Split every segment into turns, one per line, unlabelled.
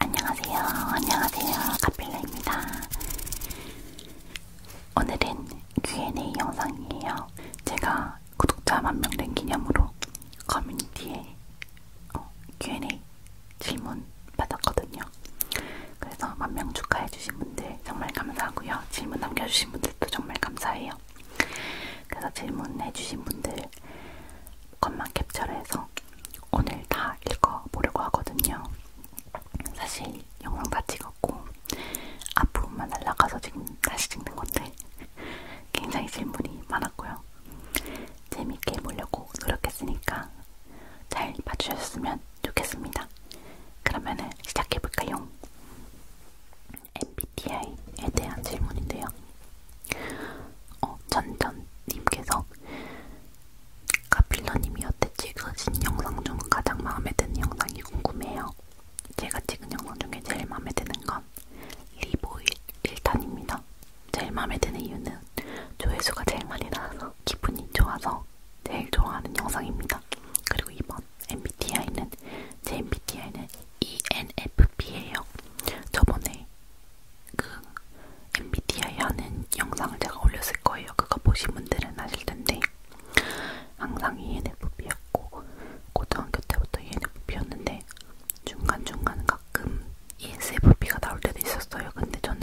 안녕하세요. 안녕하세요. 카필라입니다. 오늘은 Q&A 영상이에요. 제가 구독자 만명 된 기념으로 커뮤니티에 어, Q&A 질문 받았거든요. 그래서 만명 축하해주신 분들 정말 감사하고요. 질문 남겨주신 분들도 정말 감사해요. 그래서 질문해주신 분들 것만 캡처를 해서 오늘 다 읽어보려고 하거든요. 사실 영상 다 찍었고 앞부분만 날라가서 지금 다시 찍는 건데 굉장히 질문이 많았고요. 재밌게 보려고 노력했으니까 잘 봐주셨으면 좋겠습니다. 그러면은 시작해볼까요? MBTI에 대한 질문인데요. 어, 전전님께서 카필러님이 여태 찍으신 영상 중 가장 마음에 드는 영상이 궁금해요. 제가 찍은 영상 중에 제일 마음에 드는 건 리보일 1탄입니다. 제일 마음에 드는 이유는 조회수가 제일 많이 나와서 기분이 좋아서 제일 좋아하는 영상입니다. 그리고 이번 MBTI는 제 MBTI는 ENFP예요. 저번에 그 MBTI 하는 영상을 제가 올렸을 거예요. 그거 보신 분들은 아실 텐데 항상 ENFP였고 고등학교 때부터 ENFP였는데 중간중간 가끔 ESFP가 나올 때도 있었어요. 근데 저는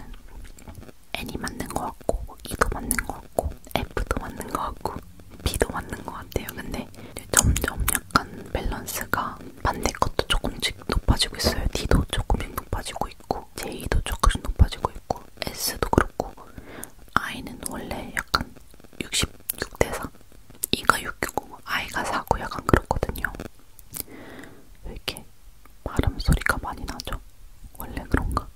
N이 맞는 것 같고 E도 맞는 것 같고 F도 맞는 것 같고 B도 맞는 것 같아요. 근데 점점 약간 밸런스가 반대 것도 조금씩 조금씩 높아지고 있어요. D도 조금씩 높아지고 있고 J도 조금씩 높아지고 있고 S도 그렇고 I는 원래 약간 66대 4 E가 6이고 I가 4고 약간 그렇거든요. 이렇게 발음 소리가 많이 나죠? 원래 그런가?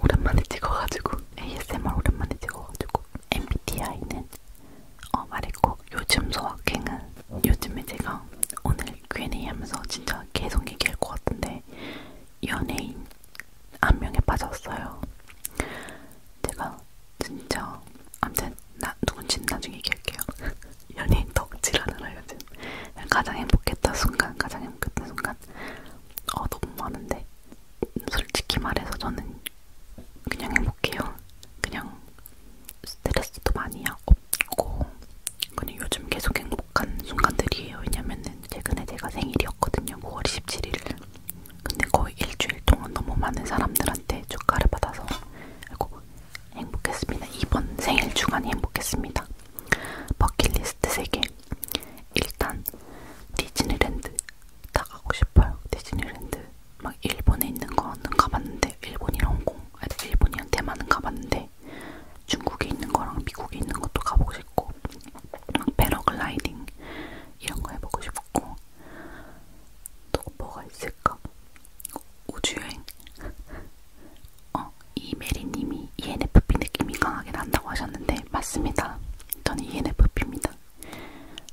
오랜만에 찍어가지고 ASMR 오랜만에 찍어가지고 MBTI는 어 말했고 요즘 소확행은 요즘에 제가 오늘 Q&A 하면서 진짜 계속 얘기할 것 같은데 연예인 한 명에 빠졌어요. 제가 진짜 아무튼 나 누군지 나중에 얘기할게요. 연예인 덕질하느라 요즘 가장 행복했던 순간, 가장 행복했던 순간 어 너무 많은데 솔직히 말해서 저는 그냥 행복해요. 그냥 스트레스도 많이 없고 그냥 요즘 계속 행복한 순간들이에요. 왜냐면은 최근에 제가 생일이었거든요. 9월 27일. 근데 거의 일주일 동안 너무 많은 사람들한테 축하를 받아서 아이고, 행복했습니다. 이번 생일 주간이 행복했습니다. 버킷리스트 3개. 일단 디즈니랜드 다 가고 싶어요. 디즈니랜드 막 일본에 있는 거는 가봤는데 일본이랑 홍콩 일본이한테만은 가봤는데 중국에 있는 거랑 미국에 있는 것도 가보고 싶고 패러글라이딩 이런 거 해보고 싶고 또 뭐가 있을까? 우주여행? 어, 이메리님이 ENFP 느낌이 강하게 난다고 하셨는데 맞습니다. 저는 ENFP입니다.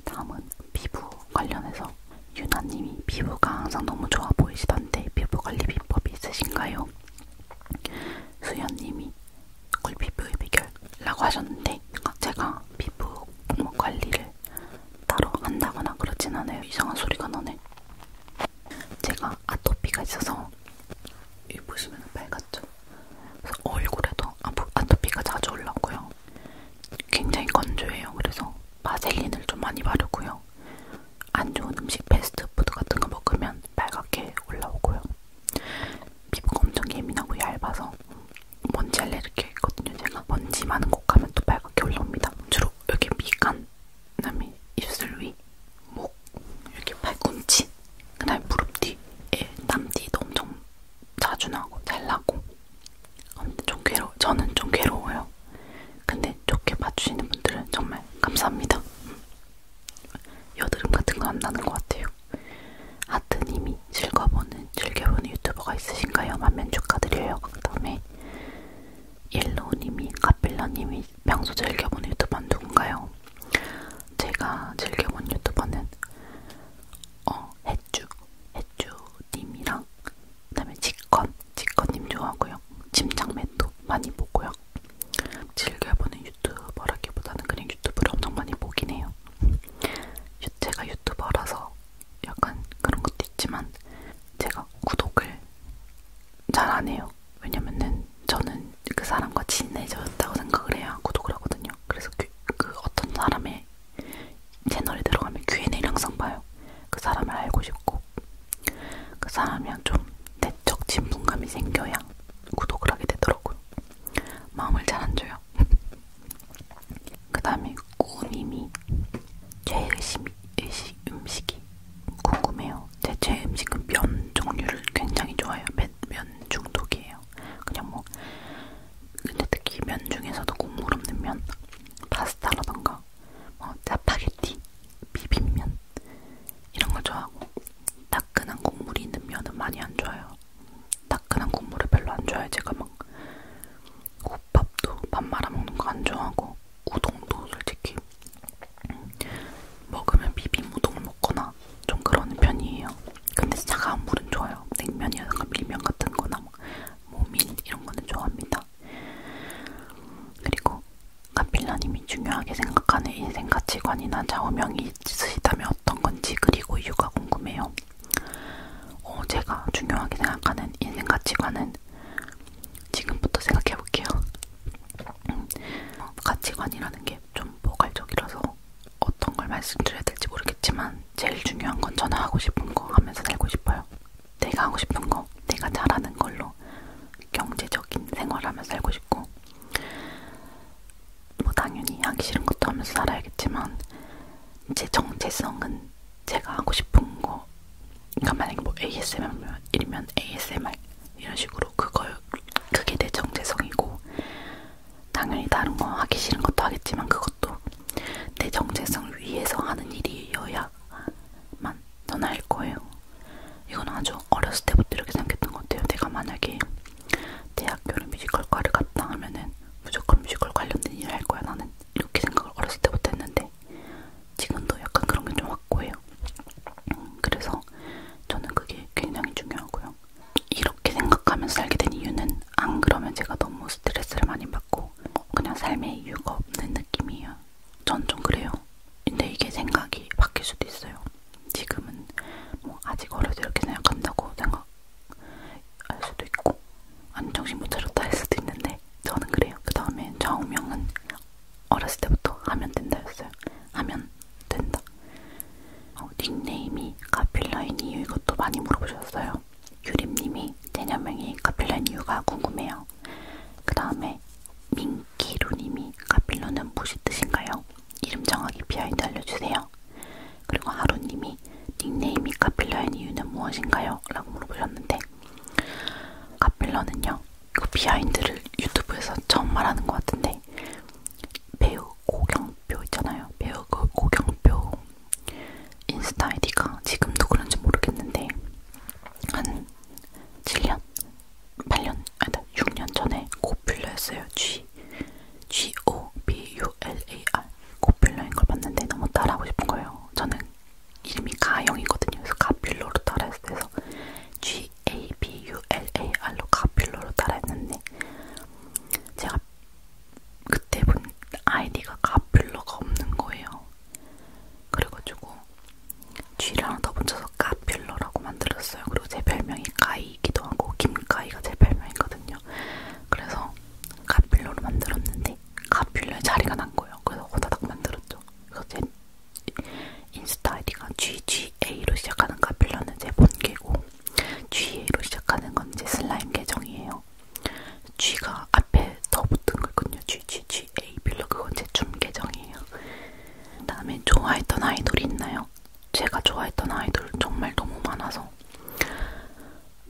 다음은 피부 관련해서 있어요. 유나님이 피부가 항상 너무 좋아 보이시던데 피부관리 비법이 있으신가요? 수연님이 꿀피부의 비결이라고 하셨는데 제가 피부 관리를 따로 한다거나 그러진 않아요. 이상한 소리가 나네. 제가 아토피가 있어서 여기 보시면 빨갛죠? 그래서 얼굴에도 아토피가 자주 올라오고요. 굉장히 건조해요. 그래서 바셀린을 좀 많이 바르고요. 안 좋은 음식 패스트푸드 같은 거 먹으면 빨갛게 올라오고요. 피부가 엄청 예민하고 얇아서 먼지 알레르기가 있거든요. 제가 먼지 많은 곳 가면 또 빨갛게 올라옵니다. 주로 여기 미간, 그다음에 입술 위, 목, 이렇게 팔꿈치, 그다음에 무릎 뒤에 땀띠도 엄청 자주 나고 잘 나고. 아무튼 좀 괴로. 저는 좀 괴로워요. 근데 좋게 봐주시는 분들은 정말 감사합니다. 여드름 같은 거 안 나는 것 같아요. 하트님이 즐거보는 즐겨보는 유튜버가 있으신가요? 만면 축하드려요. 그 다음에 옐로우님이 카필러님이 평소 즐겨보는 유튜버는 누군가요? 제가 즐겨본 유튜버는 어 해쭈 해쭈님이랑 그다음에 직권, 직권님 좋아하고요. 침착맨도 많이 보고요. 즐겨보는 유튜버라기보다는 그냥 유튜브를 엄청 많이 보긴 해요. 제가 유튜버라서 약간 그런 것도 있지만 제가 구독을 잘 안 해요. 왜냐면은 저는 그 사람과 친해졌다고 생각을 해야 구독을 하거든요. 그래서 그, 그 어떤 사람의 채널에 들어가면 Q&A를 항상 봐요. 그 사람을 알고 싶고 그 사람이랑 좀 내적 친분감이 생겨야 구독을 하게 되더라고요. 마음을 잘 안 줘요. 그 다음에 꾸님이 제의식이 음식, 음식이 궁금해요. 제 최애 음식은 면 종류를 굉장히 좋아해요. 면, 면 중독이에요. 그냥 뭐 근데 특히 면 중에서도 국물 없는 면 파스타라던가 좋아해요. 뭐 짜파게티, 비빔면 이런 걸 좋아하고 따끈한 국물이 있는 면은 많이 안 좋아해요. 따끈한 국물을 별로 안 좋아해요. 제가 막 국밥도 밥 말아 먹는 거 안 좋아하고 우동도 솔직히 먹으면 비빔 우동을 먹거나 좀 그러는 편이에요. 근데 차가운 물은 좋아요. 냉면이나 밀면 같은 거나 뭐 모밀 뭐, 이런 거는 좋아합니다. 그리고 카필라님이 중요하게 생각하는 인생 가치관이나 좌우명이 있으시다면 어떤 건지 그리고 이유가 궁금해요. 어, 제가 중요하게 생각하는 인생 가치관은 지금부터 생각해볼게요. 음, 가치관이라는 게좀 포괄적이라서 어떤 걸 말씀드려야 될지 모르겠지만 제일 중요한 건 저는 하고 싶은 거 하면서 살고 싶어요. 내가 하고 싶은 거, 내가 잘하는 걸로 경제적인 생활하며 살고 싶고, 뭐 당연히 하기 싫은 것도 하면서 살아야겠지만 제 정체성은 제가 하고 싶은 거, 그러니까 만약에 뭐 ASMR이면 ASMR 이런 식으로 그걸 그게 내 정체성이고, 당연히 다른 거 하기 싫은 것도 하겠지만 그것도 내 정체성을 위해서 하는 일이어야만 떠날 거예요. 이건 아주 어렸을 때부터 이렇게 생각했던 것 같아요. 내가 만약에 대학교를 뮤지컬과를 갔다 하면은 무조건 뮤지컬 관련된 일을 할 거야 나는 이렇게 생각을 어렸을 때부터 했는데 지금도 약간 그런 게 좀 확고해요. 음, 그래서 저는 그게 굉장히 중요하고요. 이렇게 생각하면서 살게 된 이유는 안 그러면 제가 너무 스트레스를 많이 받고 뭐 그냥 삶에 이유가 없는 느낌이에요. 전좀 그래요. 근데 이게 생각이 바뀔 수도 있어요. 지금은 뭐 아직 어려서 이렇게 생각한다고 생각 할 수도 있고 안 정신 못 차렸다 할 수도 있는데 저는 그래요. 그 다음에 좌우명은 어렸을 때부터 하면 된다였어요. 하면 된다. 어, 닉네임이 카필라인 이유 이것도 많이 물어보셨어요. 유림님이 제녀명이 카필라인 이유가 궁금해요. 그 다음에 민키루님이 카필러는 무엇이 뜻인가요? 이름 정하기 비하인드 알려주세요. 그리고 하루님이 닉네임이 카필러인 이유는 무엇인가요? 라고 물어보셨는데 카필러는요. 그 비하인드를 유튜브에서 처음 말하는 것 같은데 배우 고경표 있잖아요. 배우 그 고경표 인스타 아이디가 지금도 그런지 모르겠는데 한 7년? 8년 아니다 6년 전에 고필러였어요. G G O B U L A R 고필러인 걸 봤는데 너무 따라하고 싶은 거예요. 저는 이름이 가영이거든요. 그래서 가필러로 따라했어요. 그래서 G A B U L A R로 가필러로 따라했는데 제가 그때 본 아이디가 가필러가 없는 거예요. 그래가지고 쥐랑 더붙여서 까필러라고 만들었어요. 그리고 제 별명이 까이기도 하고 김까이가 제 별명이거든요. 그래서 까필러로 만들었는데 까필러에 자리가 난 거예요. 그래서 호다닥 만들었죠. 그래서 제 인스타 아이디가 GGA로 시작하는 까필러는 제 본계고 GA로 시작하는 건 제 슬라임 계정이에요. 쥐가 앞에 더 붙은 거군요. 쥐, 쥐, 쥐, G A B로 그건 제 춤 계정이에요. 그다음에 좋아했던 아이돌이 있나요? 제가 좋아했던 아이돌 정말 너무 많아서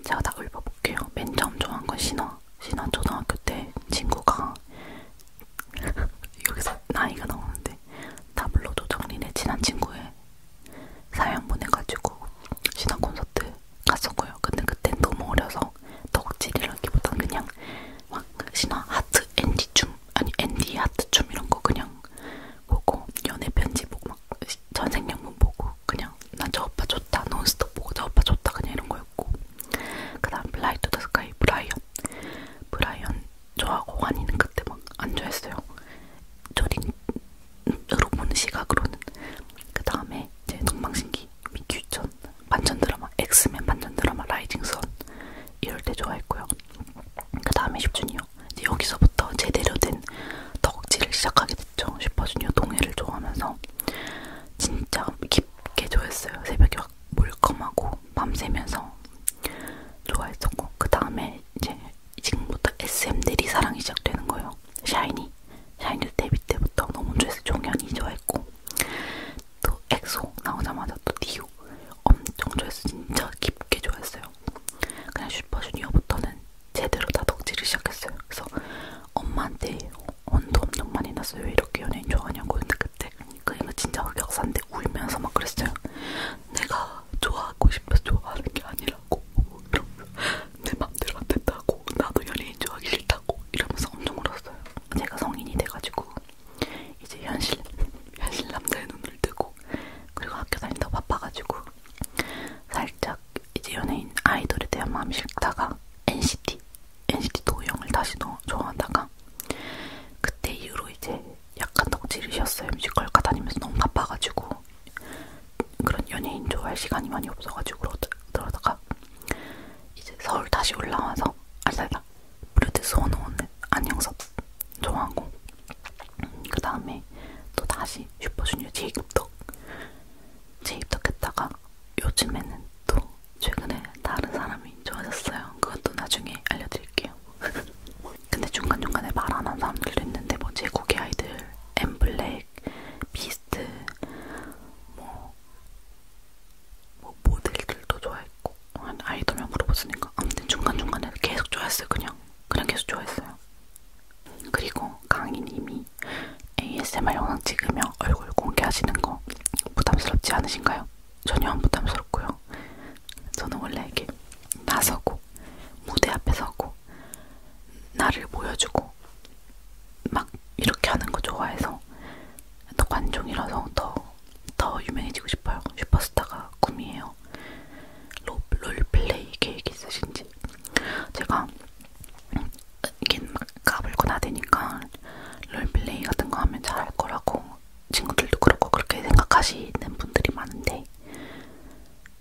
제가 다 읊어볼게요. 맨 처음 좋아한 건 신화. 신화 초등학교 때 친구가 여기서 나이가 나오는데 다 불러줘 정린의 친한 친구의 사연 보내가지고 신화 콘서트 갔었고요. 근데 그땐 너무 어려서 뭐 덕질이라기보단 그냥 막 신화 하트 엔디 춤 아니 엔디 하트 춤 이런 거 그냥 보고 연애 편지 보고 막 전생연분 보고 그냥 난 저 오빠 좋다 논스톱 보고 저 오빠 좋다 그냥 이런 거였고 그다음 블라이 투더 스카이 브라이언 브라이언 저하고 환이는 그때 막 안 좋아했어요 조린으로 보는 시각으로는 그 다음에 이제 동방신기 미규천 반전 드라마 엑스맨 반전 드라마 라이징 선 이럴 때 좋아했고요. 그 다음에 슈퍼주니어 이제 여기서부터 제대로 된 덕질을 시작하게 됐죠. 슈퍼주니어 동해를 좋아하면서 진짜 깊게 좋아했어요. 새벽에 막 몰컴하고 밤새면서 좋아했었고 그 다음에 이제 지금부터 SM 내리 사랑이 시작되는 거예요. 샤이니 샤이니도 데뷔 때부터 너무 좋아해서 종현이 좋아했고 또 엑소 나오자마자 또 디오 엄청 좋아했어 진짜 깊게 좋아했어요 그냥 슈퍼주니어부터는 제대로 다 덕질을 시작했어요 그래서 엄마한테 언도 엄청 많이 났어요 왜 이렇게 연예인 좋아하냐고 근데 그때 그니까 진짜 흑역사인데 울면서 막 그랬어요 내가 좋아하고 싶어서 좋아하는 게 아니라고 내 맘대로 안 된다고 나도 연예인 좋아하기 싫다고 이러면서 엄청 울었어요 제가 성인이 돼가지고 이제 현실 현실 남자의 눈을 뜨고 그리고 학교 다니다 바빠가지고 살짝 이제 연예인 아이돌에 대한 마음이 싫다가 NCT NCT 도영을 다시 좋아하다가 그때 이후로 이제 약간 덕질이셨어요 뮤지컬 가 다니면서 너무 바빠가지고 그런 연예인 좋아할 시간이 많이 없어가지고 그러다가 이제 서울 다시 올라와서 아니 진짜 프로듀스 101 안영섭 좋아하고 음, 그 다음에 또 다시 슈퍼주니어 제이콥덕 제이콥덕 했다가 요즘에는 또 최근에 다른 사람이 좋아졌어요. 그것도 나중에 알려드릴게요. 근데 중간중간에 말안한 사람들도 있는데 뭐 제국의 아이들, 엠블랙, 비스트, 뭐뭐 모델들도 좋아했고 한 아이돌만 물어봤으니까 아무튼 중간중간에 계속 좋아했어요 그냥 그냥 계속 좋아했어요 그리고 강희님이 ASMR 영상 찍으며 얼굴 공개하시는 거 부담스럽지 않으신가요? 전혀 안 부담스럽고요 저는 원래 이게 나서고 무대 앞에 서고 나를 보여주고 막 이렇게 하는 거 좋아해서 또 관종이라서 더더 유명해지고 싶어요. 슈퍼스타가 꿈이에요. 롤, 롤플레이 계획 있으신지. 제가 이게 막 까불고 나대니까 롤플레이 같은 거 하면 잘 할 거라고 친구들도 그렇고 그렇게 생각하시는 분들이 많은데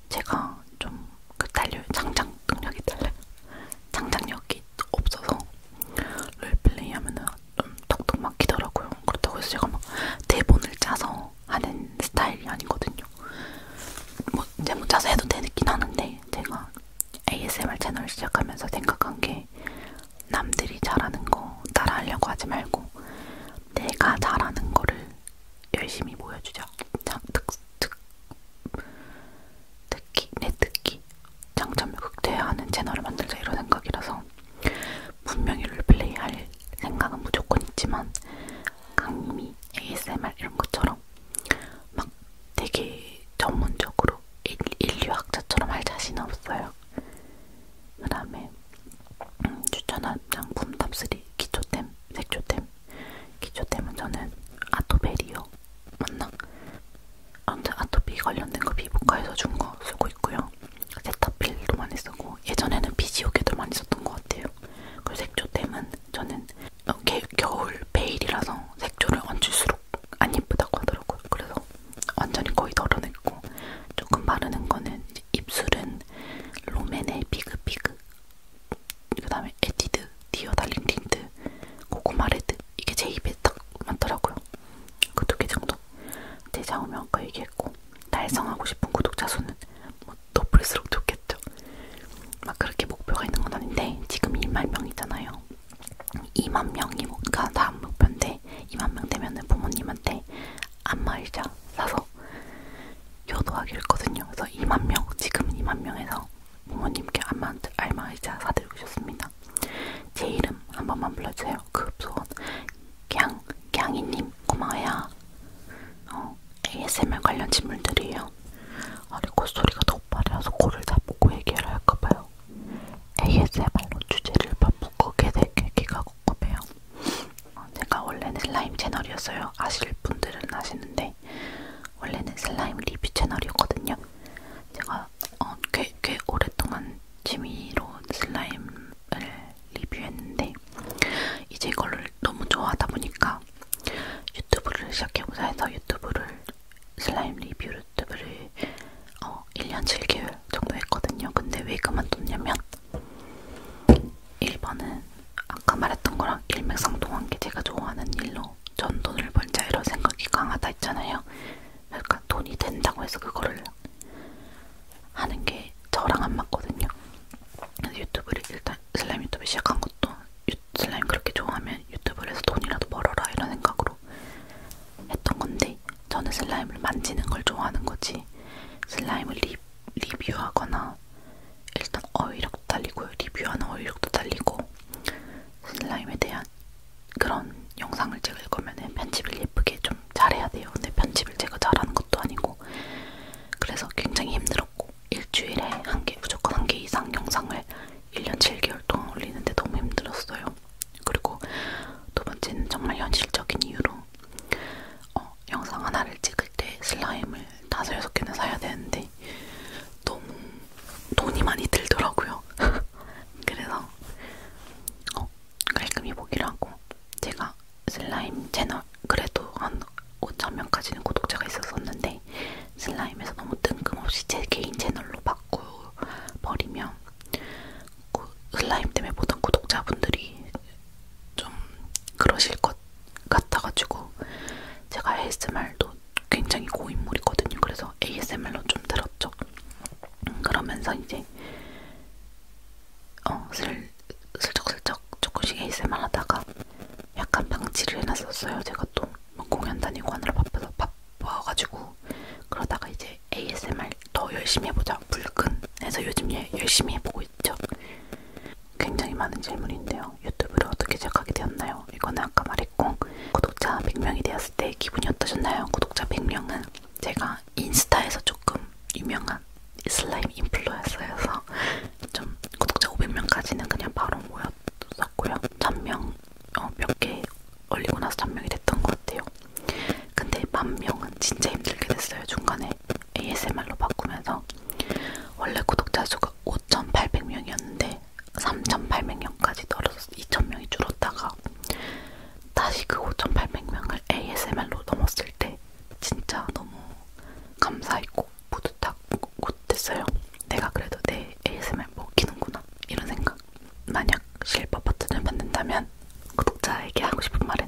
제가 좀그 딸려 장장 능력이 달라요. 장장력이 없어서 롤플레이 하면은 좀 음, 톡톡 막히더라고요. 그렇다고 해서 제가 막 대본을 짜서 하는 스타일이 아니거든요. 뭐 대본 뭐 짜서 해도 되긴 하는데 제가 ASMR 채널 시작하면서 생각한 게 남들이 잘하는 거 따라하려고 하지 말고 내가 잘하는 거를 열심히 보여주자. 특, 특, 특히 내 특기 장점을 극대화하는 채널을 만들자 이런 생각이라서 분명히 롤플레이 할 생각은 무조건 있지만 강미 ASMR 이런 것처럼 막 되게 전문적으로 인, 인류학자처럼 할 자신은 없어요. 그 다음에 음, 추천한 장품 탑3 기초템, 색조템 기초템은 저는 아토베리오 맞나? 아무튼 아토피 관련된 거 피부과에서 준 거 쓰고 있고요. 세타필도 많이 쓰고 예전에는 비지오개도 많이 썼던 것 같아요. 그리고 색조템은 저는 어, 개, 겨울 베일이라서 색조를 얹을수록 안 예쁘다고 하더라고요. 그래서 완전히 거의 덜어냈고 조금 바르는 거는 이제 입술은 롬앤의 비그비그 그 다음에 에뛰드 디어 달링 틴트 고구마 레드 이게 제 입에 딱 맞더라고요. 그 두 개 정도 정도 대장오면 아까 얘기했고 달성하고 싶은 구독자 수는 뭐 높을수록 좋겠죠. 막 그렇게 목표가 있는 건 아닌데 지금 2만 명이잖아요. 2만 명이 뭔가 다음 목표인데 2만 명 되면은 부모님한테 안마의자 사서 효도하기로 했거든요. 그래서 2만 명 지금 2만 명에서 부모님께 안마, 안마의자 사드리고 싶습니다. 제 이름 한 번만 불러주세요. 급소원 그 강, 강이님 고마워요. 어, ASMR 관련 질문들이에요. 아니 콧소리가 그 너무 빠르서 코를 다보고 얘기를 할까봐요. ASMR로 주제를 바꾸게 될 계기가 궁금해요. 어, 제가 원래는 슬라임 채널이었어요. 아실 분들은 아시는데 원래는 슬라임 리뷰 채널이었거든요. 제가 어, 꽤, 꽤 오랫동안 취미로 슬라임을 리뷰했는데 이제 이걸 너무 좋아하다 보니까 유튜브를 시작해보자 해서 유튜브를 슬라임 리뷰 유튜브를 어, 1년 7개월 정도 했거든요. 근데 왜 그만뒀냐면 1번은 아까 말했던 거랑 일맥상통한 게 제가 좋아하는 일로 전 돈을 벌자 이런 생각이 강하다 했잖아요. 그러니까 돈이 된다고 해서 그거를 하는 게 저랑 안 맞거든요. 유튜브를 일단 슬라임 유튜브 시작한 것도 유, 슬라임 그렇게 좋아하면 유튜브를 해서 돈이라도 벌어라 이런 생각으로 했던 건데 저는 슬라임을 만지는 걸 좋아하는 거지 슬라임을 리, 리뷰하거나 일단 어휘력도 달리고요. 리뷰하는 어휘력도 달리고 슬라임에 대한 그런 영상을 찍을 거면 편집을 예쁘게 좀 잘해야 돼요. 근데 편집을 제가 잘하는 것도 아니고 그래서 굉장히 힘들었고 일주일에 한 개, 무조건 한개 이상 영상을 1년 7개월 동안 올리는데 너무 힘들었어요. 그리고 두 번째는 정말 현실적인 이유로 어, 영상 하나를 찍을 때 슬라임을 다섯 여섯 개는 사야 되는데 너무 돈이 많이 들더라고요. 그래서 어, 깔끔히 보기로 하고 제가 슬라임 채널 그래도 한 5천명까지는 구독자가 있었었는데 슬라임에서 너무 뜬금없이 제 개인 채널로 바꿔버리면 그 슬라임 때문에 보던 구독자분들이 좀 그러실 것 같아가지고 제가 ASMR도 굉장히 고인물이거든요. 그래서 ASMR로 좀 들었죠. 그러면서 이제 어, 슬, 슬쩍슬쩍 조금씩 ASMR 하다가 약간 방치를 해놨었어요. 제가 또 공연 다니고 하느라 바빠서 바빠가지고 그러다가 이제 ASMR 더 열심히 해보자 불끈해서 요즘 에 예, 열심히 해보고 있죠. 굉장히 많은 질문인데요. 유튜브를 어떻게 시작하게 되었나요? 이거는 아까 말했고 구독자 100명이 되었을 때 기분이 어떠셨나요? 구독자 100명은 제가 인스타에서 조금 유명한 슬라임 인플루언서여서 좀 구독자 500명까지는 그냥 바로 모였었고요. 잔명 어, 몇개 올리고 나서 잔명이 됐던 것 같아요. 근데 만 명은 진짜 힘들게 됐어요. 중간에 ASMR로 바꾸면서 원래 구독자 수가 5,800명이었는데 3,800명까지 떨어져서 2,000명이 줄었다가 다시 그 5,800명을 ASMR로 넘었을 때 진짜 너무 감사했고 뿌듯하고 됐어요. 내가 그래도 내 ASMR 먹히는구나 이런 생각. 만약 실버 버튼을 받는다면 구독자에게 하고 싶은 말은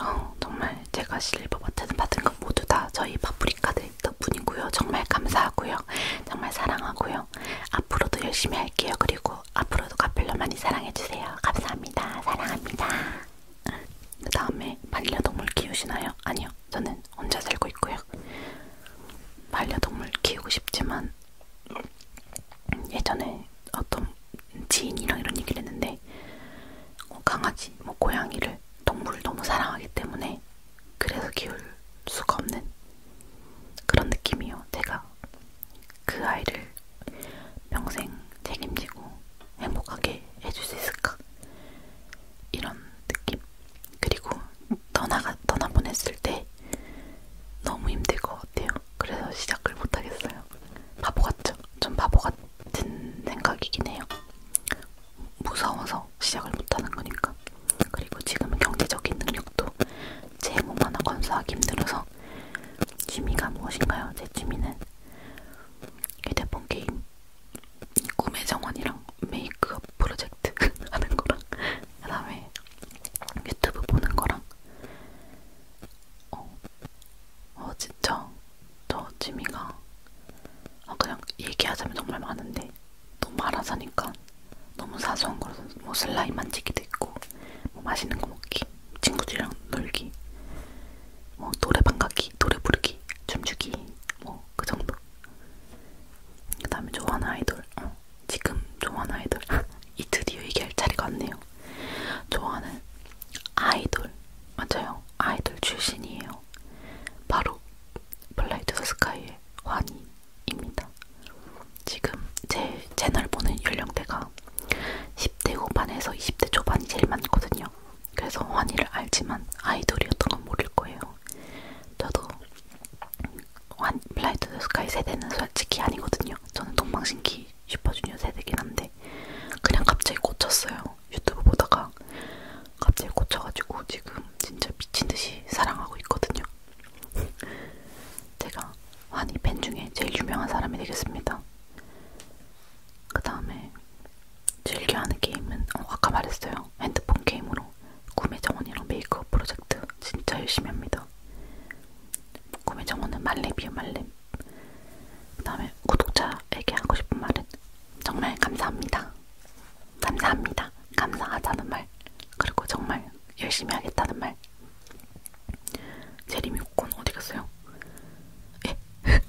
어, 정말 제가 실버 버튼을 받은 건 모두 다 저희 파프리카들 덕분이고요. 정말 감사하고요. 정말 사랑하고요. 앞으로도 열심히 할게요. 그리고 앞으로도 카펠러 많이 사랑해주세요. 감사합니다. 사랑합니다. 그 다음에 반려동물 키우시나요? 아니요. 저는 혼자 살고 있고요. 반려동물 키우고 싶지만 예전에 어떤 지인이랑 이런 얘기를 했는데 어, 강아지, 뭐 고양이를 동물을 너무 사랑하기 때문에 그래서 키울 수가 없는 그런 느낌이요. 제가 그 아이를 평생 책임지고 행복하게 해줄 수 있을까? 이런 느낌. 그리고 떠나가, 떠나보냈을 때 너무 힘들 것 같아요. 그래서 시작을 못하겠어요. 바보 같죠? 좀 바보 같은 생각이긴 해요. 무서워서 시작을 못하는 거니까. 그리고 지금 경제적인 능력도 제 몸 하나 건수하기 힘들어서 취미가 무엇인가요? 제 취미는 휴대폰 게임, 꿈의 정원이랑 메이크업 프로젝트 하는 거랑 그 다음에 유튜브 보는 거랑 어, 어 진짜 저 취미가 아 그냥 얘기하자면 정말 많은데 너무 많아서니까 너무 사소한 거라서 뭐 슬라임 만지기도 있고 뭐 맛있는 거 먹기, 친구들이랑 놀기, 뭐 노래방 가기, 노래 부르기, 춤추기, 뭐 그 정도. 그 다음에 좋아하는 아이돌, 어, 지금 좋아하는 아이돌. 이 드디어 얘기할 자리가 왔네요. 좋아하는 아이돌, 맞아요. 아이돌 출신이에요. 바로 블라이드 스카이의 환희입니다. 지금 제 채널 보는 연령대가 나이가 10대 후반에서 20대 초반이 제일 많거든요. 그래서 환희를 알지만 아이돌이었던 건 모를 거예요. 저도 환 플라이 투더 스카이 세대는 솔직히 아니거든요. 저는 동방신기 슈퍼주니어 세대긴 한데 그냥 갑자기 꽂혔어요. 유튜브 보다가 갑자기 꽂혀가지고 지금 진짜 미친듯이 사랑하고 있거든요. 제가 환희 팬 중에 제일 유명한 사람이 되겠습니다. 그 다음에 즐겨하는 게임은 어, 아까 말했어요. 핸드폰 게임으로 구매 정원이랑 메이크업 프로젝트 진짜 열심히 합니다. 구매 정원은 말렙이요 말렙. 그 다음에 구독자에게 하고 싶은 말은 정말 감사합니다. 감사합니다. 감사하다는 말. 그리고 정말 열심히 하겠다는 말. 제리미 코콘 어디 갔어요? 예.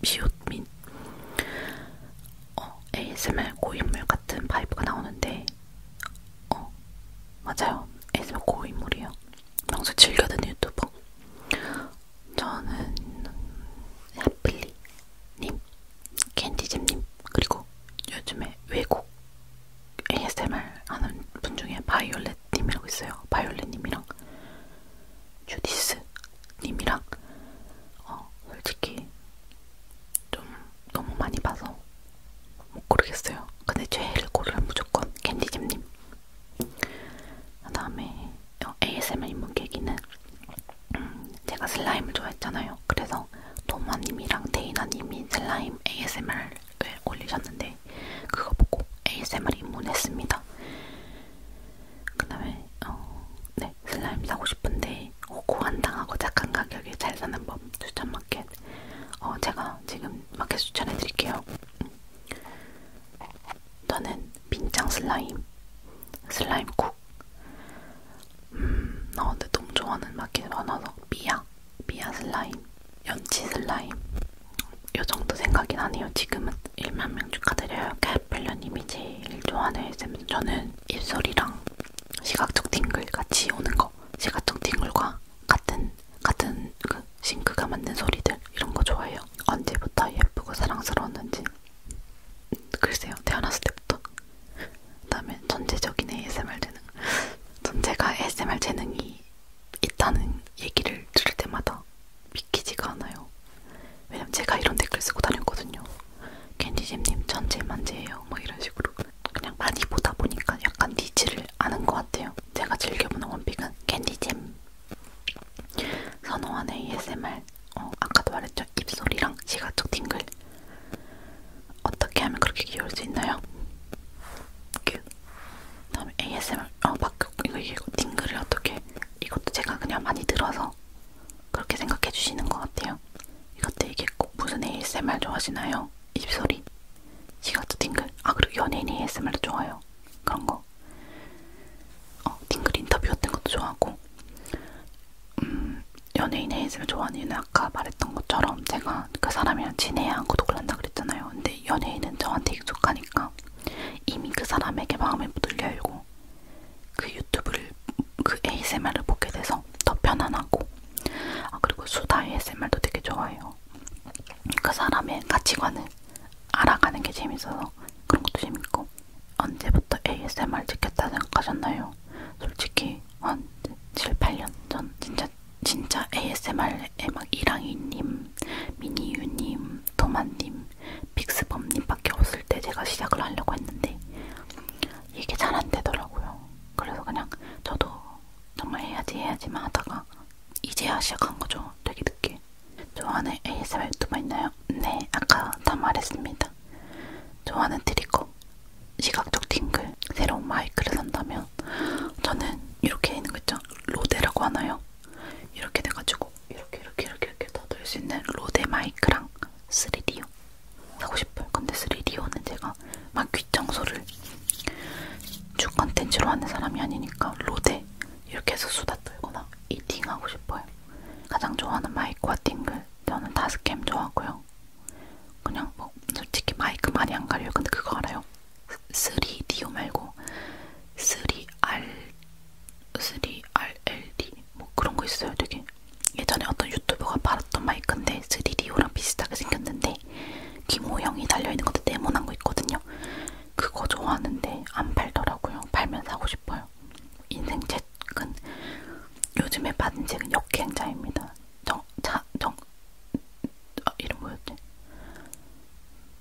미웃민. 어, ASMR 고인물 같은 파이브가 나오는데, 어, 맞아요. ASMR 고인물이에요. 평소 즐겨 듣는 유튜버. 저는 하필리님, 캔디잼님, 그리고 요즘에 외국 ASMR 하는 분 중에 바이올렛님이라고 있어요. 바이올렛님이랑 주디스님이랑 어, 솔직히 좀 너무 많이 봐서 못 고르겠어요. 근데 제일 고르면 무조건 캔디잼님. 그 다음에 어, ASMR 인문 계기는 음, 제가 슬라임을 좋아했잖아요. 그래서 도마님이랑 데이나님이 슬라임 ASMR 올리셨는데 그거 보고 ASMR 입문했습니다. 그 다음에 어, 네, 슬라임 사고 싶은데 고한당하고 착한 가격에 잘 사는 법 추천 마켓 어, 제가 지금 마켓 추천해드릴게요. 저는 빈장 슬라임, 슬라임 쿡 음, 어, 근데 너무 좋아하는 마켓이 많아서 미야, 미야 슬라임 연치 슬라임 요정도 생각이 나네요 지금은 1만명 축하드려요 캡필러님이 제일 좋아하는 ASM 저는 입소리랑 시각적 팅글 같이 오는 거 시각적 팅글과 같은 같은 그 싱크가 만든 소리들 이런 거 좋아해요 언제부터 예쁘고 사랑스러웠는지 글쎄요 태어났을 때부터 그 다음에 전체적인 ASMR 재능 전제가 ASMR 재능이 있다는 얘기를 들을 때마다 믿기지가 않아요. 왜냐면 제가 이런 댓글 쓰고 다녔거든요. 캔디잼님 천재만재예요. 뭐 이런 식으로 그냥 많이 보다 보니까 약간 니즈를 아는 것 같아요. 제가 즐겨보는 원픽은 캔디잼 선호하는 ASMR 어, 아까도 말했죠. 입소리랑 시각적 팅글 어떻게 하면 그렇게 귀여울 수 있나요? 큐 그 다음에 ASMR 어 바꾸 이거 이거 딩글을 어떻게 이것도 제가 그냥 많이 들어서 그렇게 생각해 주시는 것 같아요. 이것도 이게 꼭 무슨 ASMR 좋아하시나요? 입소리, 시각도 딩글. 아 그리고 연예인 ASMR도 좋아요. 그런 거. 어 딩글 인터뷰 같은 것도 좋아하고. 음 연예인 ASMR 좋아하는 이유는 아까 말했던 것처럼 제가 그 사람이랑 친해야 하고 독을 한다 그랬잖아요. 근데 연예인은 저한테 익숙하니까 이미 그 사람에게 마음이 묻을려 있고 그 유튜브를 그 ASMR을 보게 돼서 더 편안하고 아 그리고 수다 ASMR도 되게 좋아해요. 그 사람의 가치관을 알아가는 게 재밌어서 그런 것도 재밌고 언제부터 ASMR 찍겠다 생각하셨나요? 솔직히 한 7, 8년 전 진짜 진짜 ASMR에만 막 이랑이님, 미니유님, 도마님, 빅스범님밖에 없을 때 제가 시작을 하려고 했는데 이게 잘 안 되더라고요. 그래서 그냥 저도 정말 해야지 해야지만 하다가 이제야 시작한 거죠. 되게 늦게. 좋아하는 ASMR 유튜버 있나요? 네, 아까 다 말했습니다. 좋아하는 트리거, 시각적 팅글, 새로운 마이크를 산다면 저는 이렇게 있는 거 있죠? 로데라고 하나요? 이렇게 돼가지고 이렇게 이렇게 이렇게 이렇게 더들 수 있는 로데 마이크랑 3D요 사고 싶어요. 근데 3D요는 제가 막 귓청소를 주 컨텐츠로 하는 사람이 아니니까 로데 이렇게 해서 수다 떨거나 이팅하고 싶어요. 가장 좋아하는 마이크와 띵글 저는 다스캠 좋아하고요. 그냥 뭐 솔직히 마이크 많이 안 가려요. 근데 그거 알아요? 3DO 말고 3R, 3RLD 뭐 그런 거 있어요. 되게 예전에 어떤 유튜버가 팔았던 마이크인데 3DO랑 비슷하게 생겼는데 귀 모형이 달려있는 것도 네모난 거 있거든요. 그거 좋아하는데 안 팔더라고요. 팔면 사고 싶어요. 인생 책은 요즘에 받은 책은 역행자입니다. 정, 자, 정, 아, 이름 뭐였지?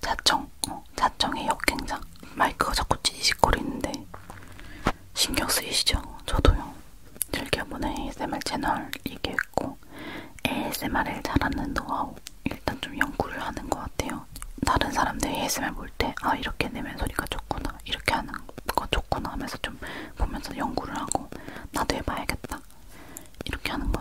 자청, 어, 자청의 역행자. 마이크가 자꾸 찌지직거리는데 신경 쓰이시죠? 저도요. 즐겨보는 ASMR 채널 얘기했고 ASMR을 잘하는 노하우 일단 좀 연구를 하는 것 같아요. 다른 사람들 ASMR 볼 때 아 이렇게 내면 소리가 좋구나 이렇게 하는 거 좋구나 하면서 좀 보면서 연구를 하고 나도 해봐야겠다 이렇게 하는 것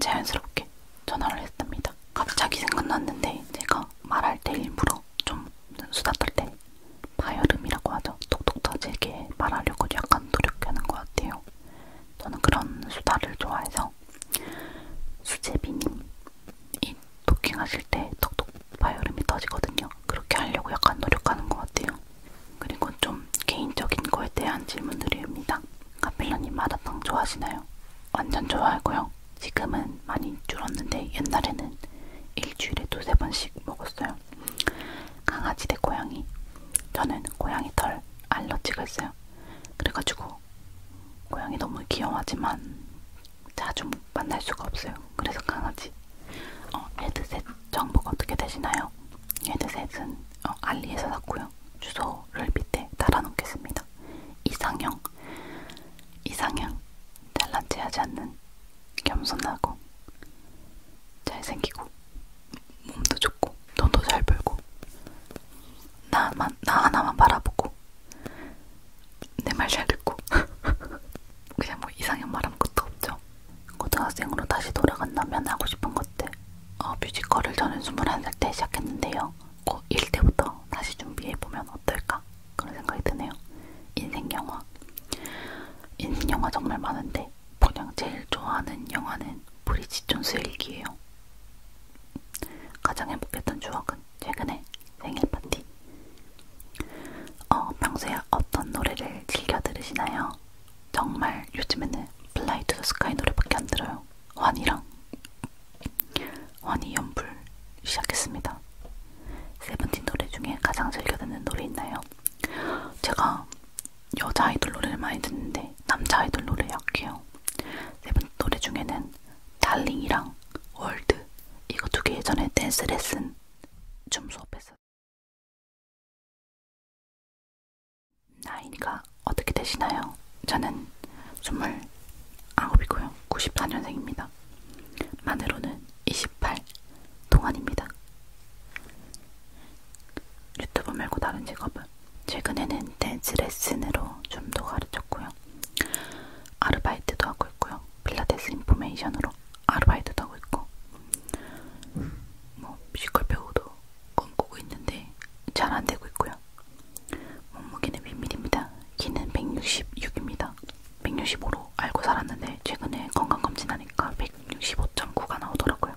자연스럽게 전화를 했답니다. 갑자기 생각났는데 제가 말할 때 일부러 좀 수다 떨때 파열음이라고 하죠. 톡톡 터지게 말하려고 약간 노력하는 것 같아요. 저는 그런 수다를 좋아해서 수제비님 이 토킹하실 때 톡톡 파열음이 터지거든요. 그렇게 하려고 약간 노력하는 것 같아요. 그리고 좀 개인적인 거에 대한 질문들입니다. 카필러님 마라탕 좋아하시나요? 완전 좋아하고요. 지금은 많이 줄었는데 옛날에는 일주일에 두세 번씩 먹었어요. 강아지 대 고양이. 저는 고양이 털 알러지가 있어요. 그래가지고 고양이 너무 귀여워하지만 자주 만날 수가 없어요. 그래서 강아지. 어, 헤드셋 정보가 어떻게 되시나요? 헤드셋은 어, 알리에서 샀고요. 주소를 밑에 달아놓겠습니다. 이상형, 이상형, 잘난 체하지 않는, 겸손하고, 잘생기고, 몸도 좋고, 돈도 잘 벌고, 나만, 나 하나만 바라보고, 내 말 잘 듣고, 그냥 뭐 이상형 말한 것도 없죠. 고등학생으로 다시 돌아간다면 하고 싶은 것들, 어, 뮤지컬을 저는 21살 때 시작했는데요. 꼭 어, 1대부터 다시 준비해보면 어떨까? 그런 생각이 드네요. 인생 영화. 인생 영화 정말 많은데 그냥 제일 좋아하는 영화는 브리짓 존스 일기예요. 가장 행복했던 추억은 최근에 생일 파티. 어, 평소에 어떤 노래를 즐겨 들으시나요? 정말 요즘에는 플라이 투더 스카이 노래밖에 안 들어요. 환이랑 환희 연불 시작했습니다. 세븐틴 노래 중에 가장 즐겨 듣는 노래 있나요? 제가 여자 아이돌 노래를 많이 듣는데 남자 아이돌 노래 약해요. 세븐틴 노래 중에는 달링이랑 월드 이거 두 개 예전에 댄스 레슨 좀 수업했어요. 나이가 어떻게 되시나요? 저는 29이고요. 94년생입니다. 만으로는 28 동안입니다. 유튜브 말고 다른 직업은 최근에는 댄스 레슨으로 춤도 가르쳤고요. 아르바이트도 하고 있고요. 필라테스 인포메이션으로 아르바이트도 하고 있고 뭐 뮤지컬 배우도 꿈꾸고 있는데 잘 안되고 있고요. 있어요. 몸무게는 비밀입니다. 키는 166입니다. 165로 알고 살았는데 최근에 건강검진하니까 165.9가 나오더라고요.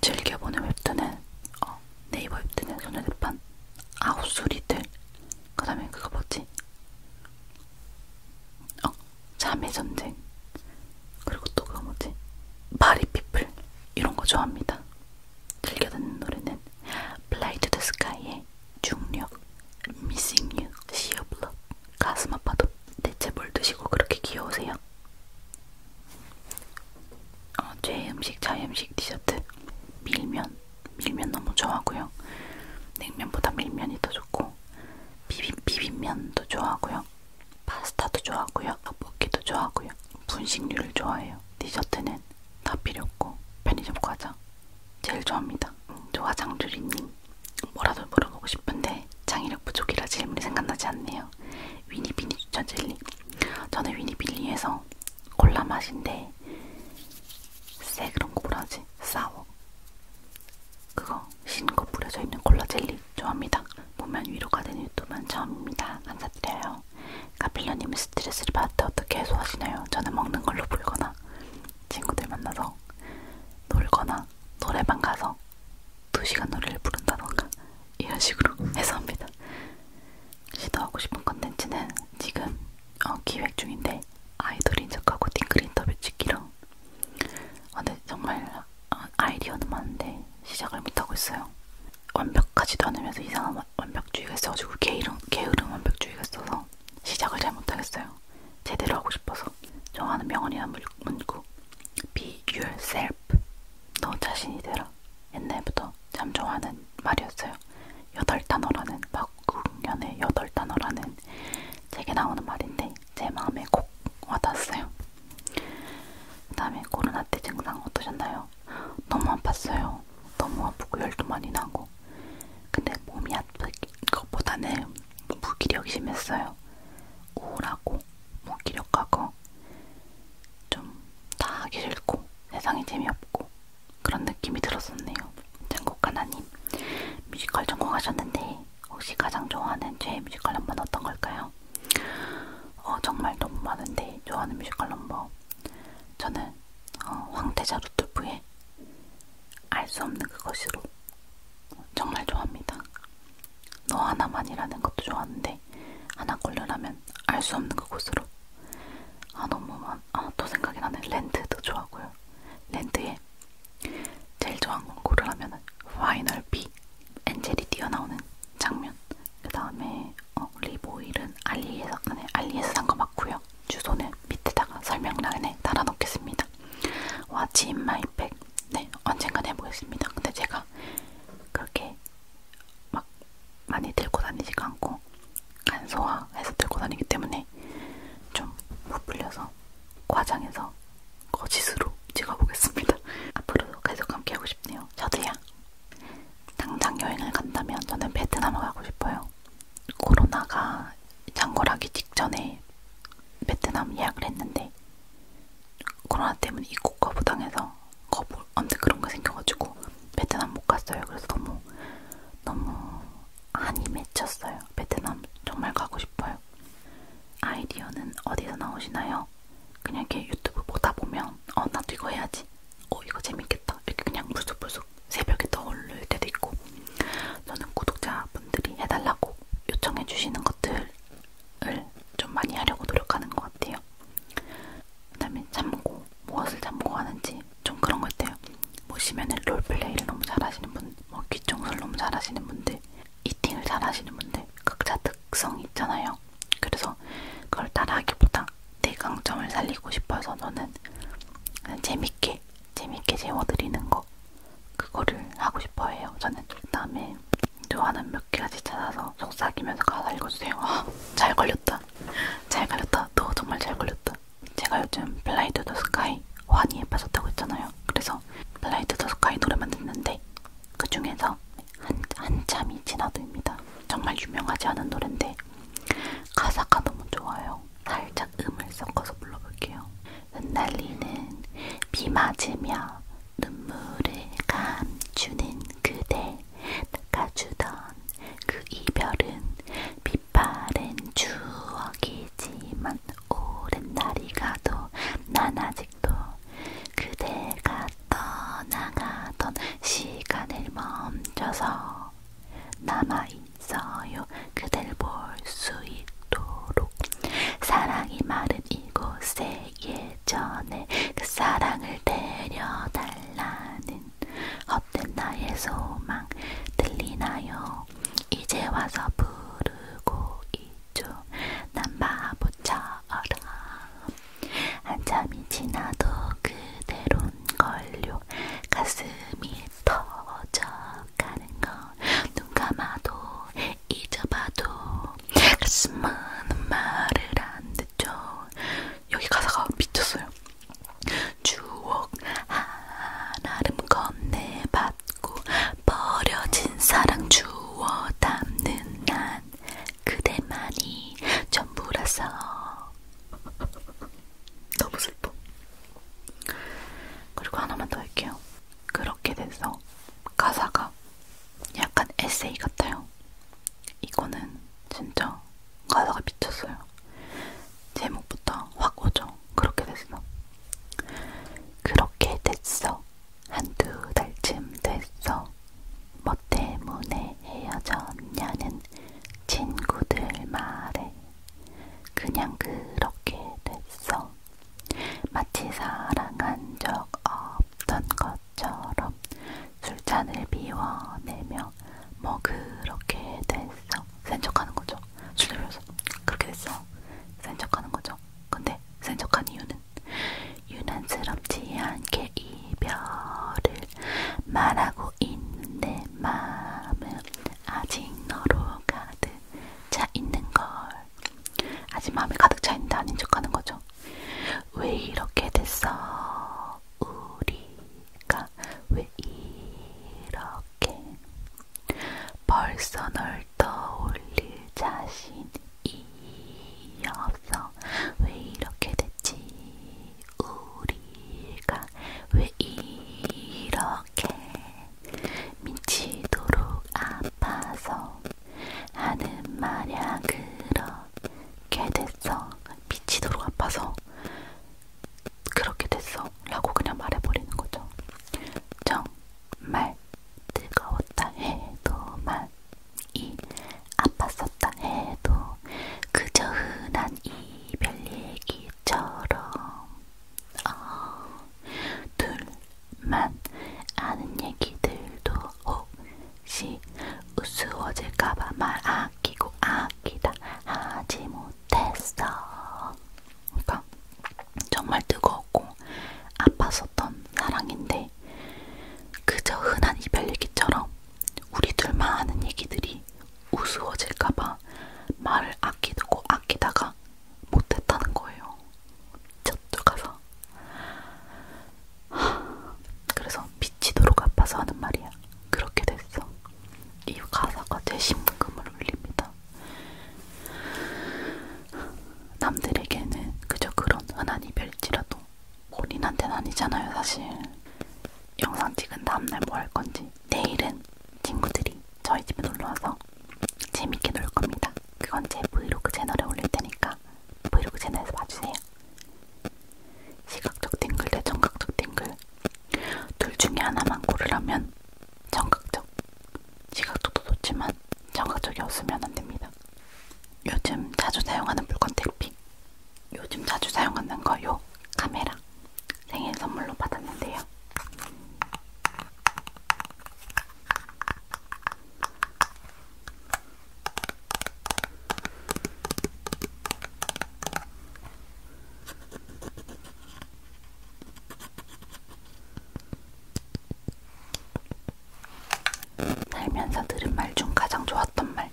즐겨보는 웹툰은 어, 네이버 웹툰은 소녀대판 아홉수리들 그 다음에 그거 뭐지? 어? 잠의 전쟁 그리고 또 그거 뭐지? 바리피플 이런 거 좋아합니다. 즐겨 듣는 노래는 Fly to the Sky의 중력, Missing You, Sea of Love, 가슴 아파도 대체 뭘 드시고 그렇게 귀여우세요? 어, 제 음식, 자의 음식, 디저트, 밀면, 밀면 너무 좋아하고요. 냉면보다 밀면이 더 좋고 비빔, 비빔면도 좋아하고요. 파스타도 좋아하고요. 떡볶이도 좋아하고요. 분식류를 좋아해요. 디저트는 다 필요 없고 편의점 과자 제일 좋아합니다. 조화장주리님 음, 뭐라도 물어보고 싶은데 창의력 부족이라 질문이 생각나지 않네요. 위니비니 추천 젤리 저는 위니비니에서 콜라 맛인데 쎄 그런 거 뭐라 하지? 싸워 그거 신거 뿌려져 있는 콜라 젤리 좋아합니다. 보면 위로가 되는 유튜브는 처음입니다. 감사드려요. 있어요. 그러니까 카필러님은 스트레스를 받을 때 어떻게 해소하시나요? 저는 먹는 걸로 불거나 친구들 만나서 놀거나 노래방 가서 2시간 노래를 부른다던가 이런 식으로 해소합니다. 시도하고 싶은 컨텐츠는 지금 어, 기획 중인데 아이돌인 척하고 딩글 인터뷰 찍기랑 아, 근데 정말 어, 아이디어는 많은데 시작을 못하고 있어요. 완벽하지도 않으면서 이상한 완벽주의가 있어가지고 게으름, 게으름 완벽주의가 있어서 시작을 잘 못하겠어요. 제대로 하고 싶어서 정하는 명언이란 문구 Be yourself 너 자신이 되라 옛날부터 참 좋아하는 말이었어요. 여덟 단어라는 박국연의 여덟 단어라는 책에 나오는 말인데 제 마음에 콕 와닿았어요. 그 다음에 코로나 때 증상 어떠셨나요? 너무 아팠어요. 너무 아프고 열도 많이 나고. 근데 몸이 아픈 것보다는 무기력이 심했어요. 우울하고 무기력하고 좀다 하기 싫고 세상이 재미없고 그런 느낌이 들었었네요. 전곡가나님 뮤지컬 전공하셨는데 혹시 가장 좋아하는 제 뮤지컬 넘버 어떤 걸까요? 어, 정말 너무 많은데 좋아하는 뮤지컬 넘버 저는 듯한 어, 황태자 루트부의 알 수 없는 그것으로 정말 좋아합니다. 너 하나만이라는 것도 좋아하는데 하나 걸려라면 알 수 없는 그곳으로 아 너무 많아또 생각이 나네 랜드도 좋아하고요. 랜드에 제일 좋아하는 건 고르라면 파이널 B 엔젤이 뛰어나오는 장면 그 다음에 어, 립오일은 알리에서, 네, 알리에서 산 거 맞고요. 주소는 밑에다가 설명란에 달아놓겠습니다. What's in my bag? 네, 언젠간 해보겠습니다. 근데 제가 그렇게 막 많이 들고 다니지가 않고 간소화해서 들고 다니기 때문에 좀 부풀려서 과장해서 거짓으로 찍어보겠습니다. 앞으로도 계속 함께하고 싶네요. 저도요. 당장 여행을 간다면 저는 베트남을 가고 싶어요. 코로나가 장궐하기 직전에 베트남 예약을 했는데 코로나 때문에 입국 거부당해서 거부 언제 그런 거 생겨가지고 베트남 못 갔어요. 그래서 너무 너무 한이 맺혔어요. 베트남 정말 가고 싶어요. 아이디어는 어디서 나오시나요? 그냥 이렇게 유튜브 보다 보면 어 나도 이거 해야지 어 이거 재밌겠다 이렇게 그냥 불쑥불쑥 새벽에 떠오를 때도 있고 저는 구독자분들이 해달라고 요청해 주시는 것들을 좀 많이 하려고 노력하는 것 같아요. 그다음에 잠고 무엇을 잠고 하는지 좀 그런 거 있대요. 보시면은 뭐 롤플레이를 너무 잘하시는 분, 뭐 귀청소를 너무 잘하시는 분들, 이팅을 잘하시는 분들 각자 특성이 있잖아요. 그래서 그걸 따라하기보다 내 강점을 살리고 싶어서 너는 재밌게 재밌게 재워드리는 거 그거를 하고 싶어해요 저는 그 다음에 좋아하는 몇 가지 찾아서 속삭이면서 가사 읽어주세요 아, 잘 걸렸다 잘 걸렸다 너 정말 잘 걸렸다 제가 요즘 플라이 투더 스카이 환희에 빠졌다고 했잖아요 그래서 플라이 투더 스카이 노래만 듣는데 그 중에서 한, 한참이 지나듭니다 정말 유명하지 않은 노래인데 가사가 너무 좋아요. 살짝 음을 섞어서 불러볼게요. 흩날리는 비 맞으며 눈물을 감추는 그대 닦아주던 그 이별은 빛바랜 추억이지만 오랜 날이 가도 난 아직도 그대가 떠나가던 시간을 멈춰서 남아있어요. 그댈 볼 수 있도록 사랑이 마른 이곳에 예전에 그 사랑을 데려달라는 헛된 나의 소망 들리나요? 이제 와서 부르고 있죠. 난 바보처럼 한참이 지나도 그대론 걸요 가슴이 터져가는 건눈 감아도 잊어봐도 가슴은 말을 안 듣죠 여기 가사가 미쳤어요 추억 하나름 건네받고 버려진 사랑 주워 담는 난 그대만이 전부라서 너무 슬퍼. 그리고 하나만 더 할게요. 그렇게 돼서 가사가 약간 에세이 같아요. 이거는 진짜 가사가 미쳤어요. 제목부터 확 오죠. 그렇게 됐어. 그렇게 됐어. 한두 달쯤 됐어. 뭐 때문에 헤어졌냐는 친구들 말에 그냥 그렇게 됐어. 마치 사랑한 적 없던 것처럼 술잔을 비워내며 뭐 그렇게 됐어. 센 척하는 거죠. 술을 비워서 그렇게 됐어. 센 척하는 거죠. 근데 센 척한 이유는 유난스럽지 않게 이별을 말하고 있는 내 마음은 아직 너로 가득 차 있는 걸. 아직 마음이 가득 차 있는데 아닌 척하는 거죠. 왜 이렇게 됐어? 우리가 왜 이렇게? 벌써 널 떠올릴 자신이 없어 왜 이렇게 됐지? 우리가 왜 이렇게 미치도록 아파서 하는 말야 그렇게 됐어 미치도록 아파서 그렇게 됐어 라고 그냥 말해버리는 거죠 정말 뜨거웠다 해도 만이 아팠었다 해도 그저 흔한 이별 얘기처럼 어, 둘만 아는 얘기들도 혹시 우스워질까봐 말 아끼고 아끼다 하지 못했어. 그러니까 정말 뜨거웠고 아팠었던 사랑인데 그저 흔한 이별 얘기처럼 우리 둘만 하는 얘기들이 우스워질까봐 말을 아끼고 아끼다가 못했다는 거예요. 저도 가서. 하, 그래서 미치도록 아파서 하는 말이야. 그렇게 됐어. 이 가사가 제 심금을 울립니다. 남들에게는 그저 그런 흔한 이별지라도 본인한테는 아니잖아요 사실. 영상 찍은 다음날 뭐 할 건지 내일은 친구들이 저희 집에 놀러와서 재밌게 놀 겁니다. 그건 제 브이로그 채널에 올릴 테니까 브이로그 채널에서 봐주세요. 시각적 띵글 대 청각적 띵글 둘 중에 하나만 고르라면 청각적 시각적도 좋지만 청각적이 없으면 안 됩니다. 요즘 자주 사용하는 물건 택핑 요즘 자주 사용하는 거요 카메라 생일 선물로 받았는데요. 살면서 들은 말 중 가장 좋았던 말.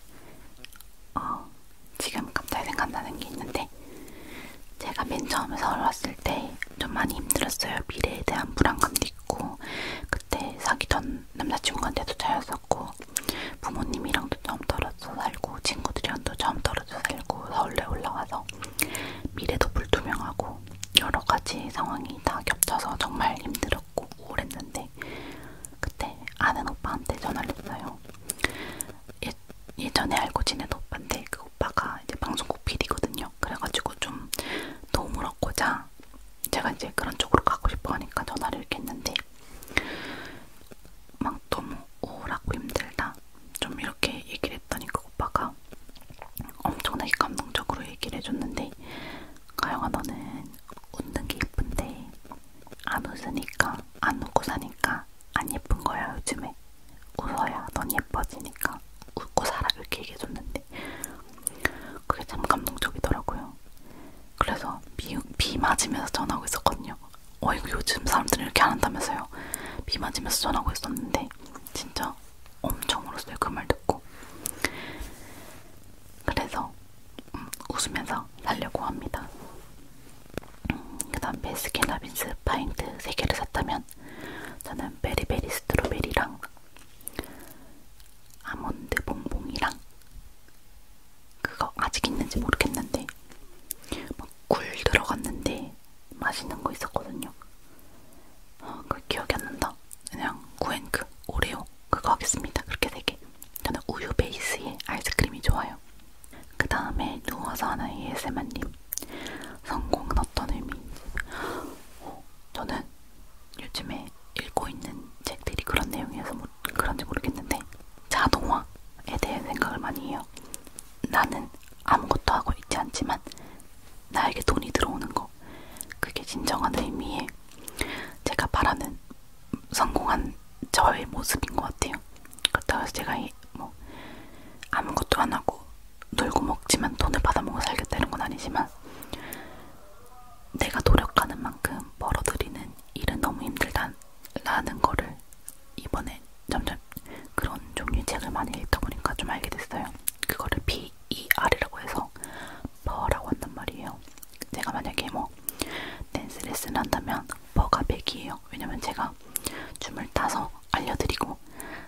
어, 지금 갑자기 생각나는 게 있는데 제가 맨 처음에 서울 왔을 때 좀 많이 힘들었어요. 미래에 대한 불안감도 있고 그때 사귀던 남자친구한테도 차였었고 부모님이랑도 처음 떨어져 살고 친구들이랑도 처음 떨어져 살고 서울에 올라와서 미래도 불투명하고 여러 가지 상황이 다 겹쳐서 정말 힘들었고 우울했는데 그때 아는 오빠한테 전화를 했어요. 예전에 알고 지낸 오빠인데 그 오빠가 이제 방송국 PD거든요. 그래가지고 좀 도움을 얻고자 제가 이제 그런 쪽으로 가고 싶어 하니까 전화를 이렇게 했는데 막 너무 오라고 힘들다 좀 이렇게 얘기를 했더니 그 오빠가 엄청나게 감동적으로 얘기를 해줬는데 가영아 너는 웃는 게 이쁜데 안 웃으니까 안 웃고 사니까 안 예쁜 거야 요즘에 웃어야 넌 예뻐지니까 웃고 살아 이렇게 얘기해줬는데 그게 참 감동적이더라고요. 그래서 비, 비 맞으면서 전하고 있었거든요. 어이구 요즘 사람들은 이렇게 안 한다면서요. 비 맞으면서 전하고 있었는데 진짜 엄청 울었어요 그말 듣고. 그래서 음, 웃으면서 살려고 합니다. 그 다음 베스킨라빈스 파인트 3개를 샀다면 저는 베리베리 스트로베리랑 아몬드 봉봉이랑 그거 아직 있는지 모르겠는데 막굴 들어갔는데 맛있는 거 있었거든요. 어, 그 기억이 안 난다. 그냥 구앤크 그 오레오 그거 하겠습니다. 그렇게 되게 저는 우유 베이스의 아이스크림이 좋아요. 그 다음에 누워서 하는 ASMR님 성공은 어떤 의미인지 어, 저는 요즘에 읽고 있는 책들이 그런 내용이어서 뭐, 그런지 모르겠는데 자동화에 대해 생각을 많이 해요. 나는 아무것도 하고 있지 않지만 나에게 돈이 들어오는 거 그게 진정한 의미에 제가 바라는 성공한 저의 모습인 것 같아요. 갔다 와서 제가 뭐 아무것도 안 하고 놀고 먹지만 돈을 받아먹어 살겠다는 건 아니지만 내가 노력하는 만큼 벌어들이는 일은 너무 힘들다라는 거를 이번에 점점 그런 종류의 책을 많이 읽다 보니까 좀 알게 됐어요. 그거를 PER이라고 해서 버라고 한단 말이에요. 제가 만약에 뭐 댄스 레슨을 한다면 버가 100이에요. 왜냐면 제가 줌을 타서 알려드리고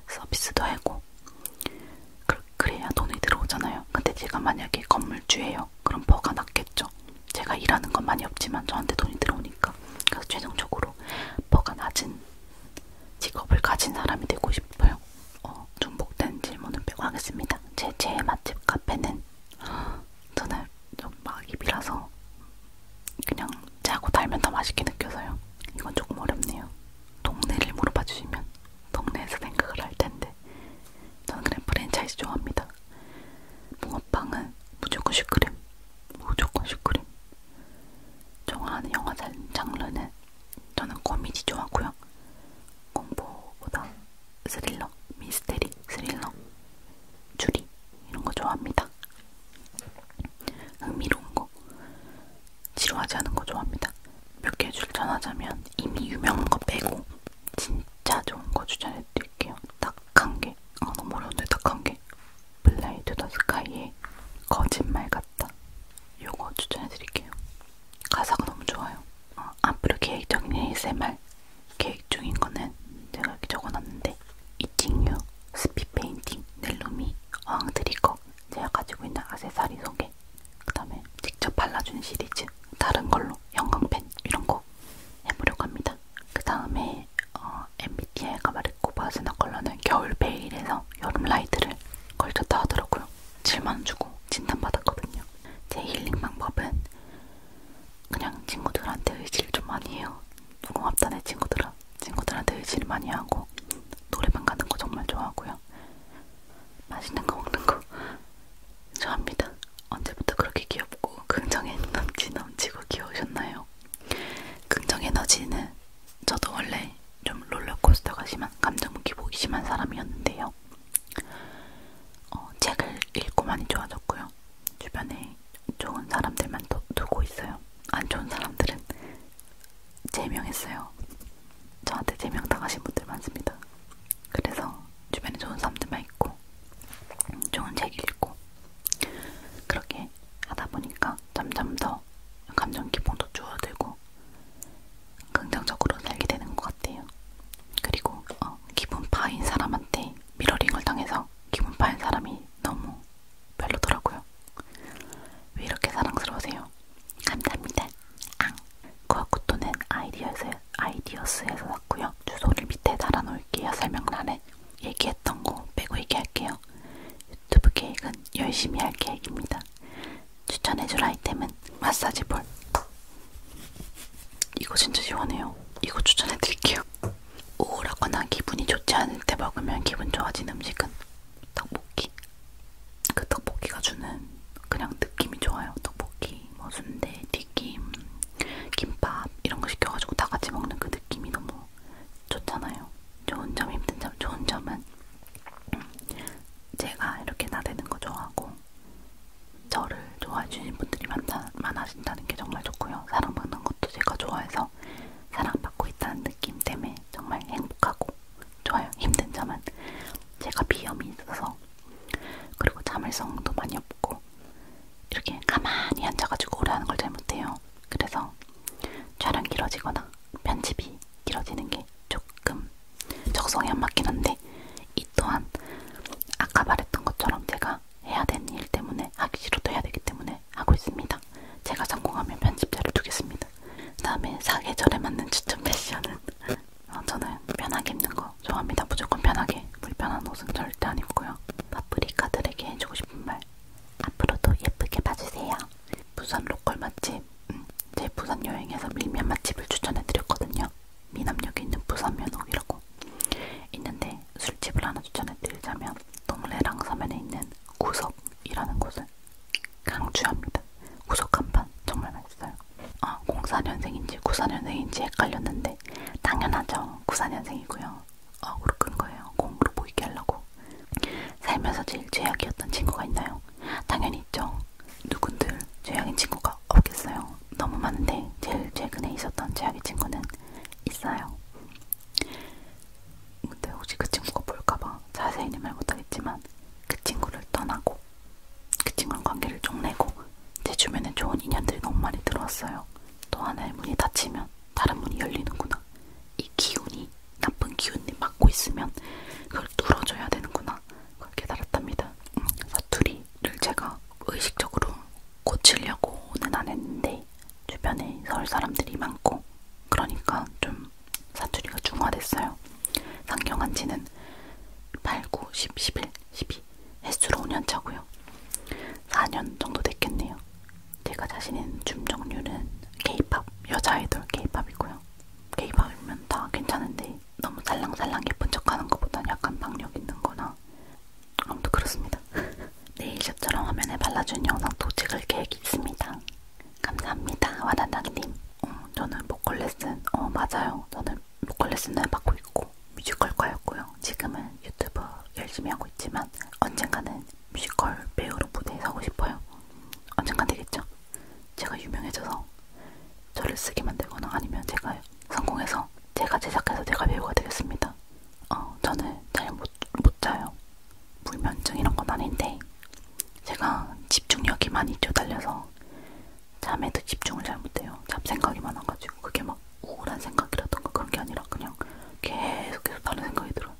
서비스도 하고 그, 그래야 돈이 들어오잖아요. 근데 제가 만약에 건물주예요. 그럼 버가 낮겠죠. 제가 일하는 건 많이 없지만 저한테 돈이 들어오니까 그래서 최종적으로 버가 낮은 직업을 가진 사람이 되고 싶어요. 어, 중복된 질문은 빼고 하겠습니다. 제 제일 맛집 카페는 저는 막입이라서 그냥 짜고 달면 더 맛있게 느껴서요. 이건 조금 어렵네요. 동네를 물어봐 주시면 동네에서 생각을 할 텐데 저는 그냥 프랜차이즈 좋아합니다. 붕어빵은 무조건 슈크림, 무조건 슈크림. 좋아하는 영화 장르는 저는 코미디 좋아하고요. 공포보다 스릴러, 미스테리, 스릴러, 추리 이런 거 좋아합니다. 흥미로운 거, 지루하지 않은 거 좋아합니다. 몇개 추천하자면 이미 유명한 거 빼고 진짜 좋은 거 추천해드릴게요. 딱 한 개, 아 너무 어려운데 딱 한 개. 블라이 투더 스카이의 거짓말 같다. 요거 추천해드릴게요. 가사가 너무 좋아요. 어, 앞으로 계획적인 ASMR 계획 중인 거는 제가 이렇게 적어놨는데 이칭유 스피페인팅 넬로미 어항드리거 제가 가지고 있는 아세사리 소개 그 다음에 직접 발라주는 시리즈 다른 걸로 영광펜 이런 거 해보려고 합니다. 그 다음에 어, MBTI가 말했고 바스나 컬러는 겨울 베일에서 여름 라이트를 걸쳤다 하더라고요. 7만원 주고 진단받았거든요. 제 힐링 방법은 그냥 친구들한테 의지를 좀 많이 해요. 무궁합단의 친구들은 친구들한테 의지를 많이 하고 노래방 가는 거 정말 좋아하고요. 맛있는 거 먹는 거 좋아합니다. 언제부터 그렇게 귀엽고 긍정 에너지 넘치고 귀여우셨나요? 긍정 에너지는 저도 원래 좀 롤러코스터가 심한 감정 기복이 심한 사람이었는데요. 어, 책을 읽고 많이 좋아졌고요. 주변에 좋은 사람들만 두, 두고 있어요. 안 좋은 사람들은 제명했어요. 저한테 제명 당하신 분들 많습니다. 그래서 주변에 좋은 사람들만 있고 좋은 책 읽고 그렇게 하다 보니까 점점 더 감정 기복도 줄어들고 긍정적으로 살게 되는 것 같아요. 그리고 어, 기분 파인 사람한테 미러링을 당해서 기분 파인 사람이 너무 별로더라고요. 왜 이렇게 사랑스러우세요? 감사합니다. 앙. 구아쿠토는 아이디어스, 아이디어스에서 샀고요. 주소를 밑에 달아놓을게요. 설명란에. 얘기했던 거 빼고 얘기할게요. 유튜브 계획은 열심히 할 계획입니다. 추천해줄 아이템은 마사지 볼. 이거 진짜 시원해요. 이거 추천해드릴게요. 우울하거나 기분이 좋지 않을 때 먹으면 기분 좋아진 음식은 떡볶이. 그 떡볶이가 주는 그냥 느낌이 좋아요. 떡볶이, 뭐 순대, 튀김, 김밥 이런 거 시켜가지고 다 같이 먹는 그 느낌이 너무 좋잖아요. 좋은 점, 힘든 점, 좋은 점은 제가 이렇게 나대는 거 좋아하고 저를 좋아해 주신 분들이 많다, 많아진다는 게 정말 좋고요. 사랑받는 것도 제가 좋아해서 있어서 사랑받고 있다는 느낌 때문에 정말 행복하고 좋아요. 힘든 점은 제가 비염이 있어서 그리고 잠을성도 많이 없고 이렇게 가만히 앉아가지고 오래 하는 걸 잘 못해요. 그래서 촬영 길어지거나 편집이 길어지는 게 조금 적성에 안 맞긴 한데 이 또한 아까 말했던 것처럼 제가 해야 되는 일 때문에 하기 싫어도 해야 되기 때문에 하고 있습니다. 제가 성공하면 편집자를 두겠습니다. 그 다음에 사계절에 맞는 추천 패션은 어, 저는 편하게 입는 거 좋아합니다. 무조건 편하게. 불편한 옷은 절대 안 입고요. 파프리카들에게 해주고 싶은 말 앞으로도 예쁘게 봐주세요. 부산 로컬 맛집 음, 제 부산 여행에서 밀면 맛집을 추천해드렸거든요. 미남역에 있는 부산 면옥이라고 있는데 술집을 하나 추천해드리자면 동래랑 서면에 있는 있는 구석이라는 곳을 강추합니다. 구석 간판 정말 맛있어요. 아, 04년생인지 94년생인지 헷갈렸는데 당연하죠. 94년생이고요. 아, 으로 끈 거예요. 공으로 보이게 하려고. 살면서 제일 죄악이었던 친구가 있나요? 당연히 있죠. 누군들 죄악인 친구가 없겠어요. 너무 많은데 제일 최근에 있었던 죄악인 친구는 있어요. 근데 혹시 그 친구가 볼까봐 자세히는 말 못하겠지만 그 친구를 떠나고 그 친구랑 관계를 쪽내고 제 주변에 좋은 인연들이 너무 많이 들어왔어요. 또 하나의 문이 닫히면 다른 문이 열리는구나. 이 기운이 나쁜 기운이 막고 있으면 그걸 뚫어줘야 되는구나. 그걸 깨달았답니다. 음, 사투리를 제가 의식적으로 고치려고는 안 했는데 주변에 서울 사람들이 많고 그러니까 좀 사투리가 중화됐어요. 상경한 지는 8, 9, 10, 11, 12 해수로 5년 차고요. 4년 정도 됐겠네요. 제가 자신 있는 춤 종류는 케이팝, 여자 아이돌 케이팝이고요. 케이팝이면 다 괜찮은데 너무 살랑살랑 예쁜 척하는 것보단 약간 박력 있는 거나 아무튼 그렇습니다. 네일샵처럼 화면에 발라주는 영상도 찍을 계획이 있습니다. 감사합니다. 와나나님. 어, 저는 보컬 레슨, 어 맞아요. 저는 보컬 레슨을 받고 있고 뮤지컬과였고요. 지금은 유튜브 열심히 하고 있지만 언젠가는 뮤지컬 배우로 무대에 서고 싶어요. 언젠간 되겠죠? 제가 유명해져서 저를 쓰게 만들거나 아니면 제가 성공해서 제가 제작해서 제가 배우가 되겠습니다. 어, 저는 잘 못 못 자요. 불면증 이런 건 아닌데 제가 집중력이 많이 쪼달려서 잠에도 집중을 잘 못해요. 잡생각이 많아가지고 그게 막 우울한 생각이라던가 그런 게 아니라 그냥 계속 계속 다른 생각이 들어요.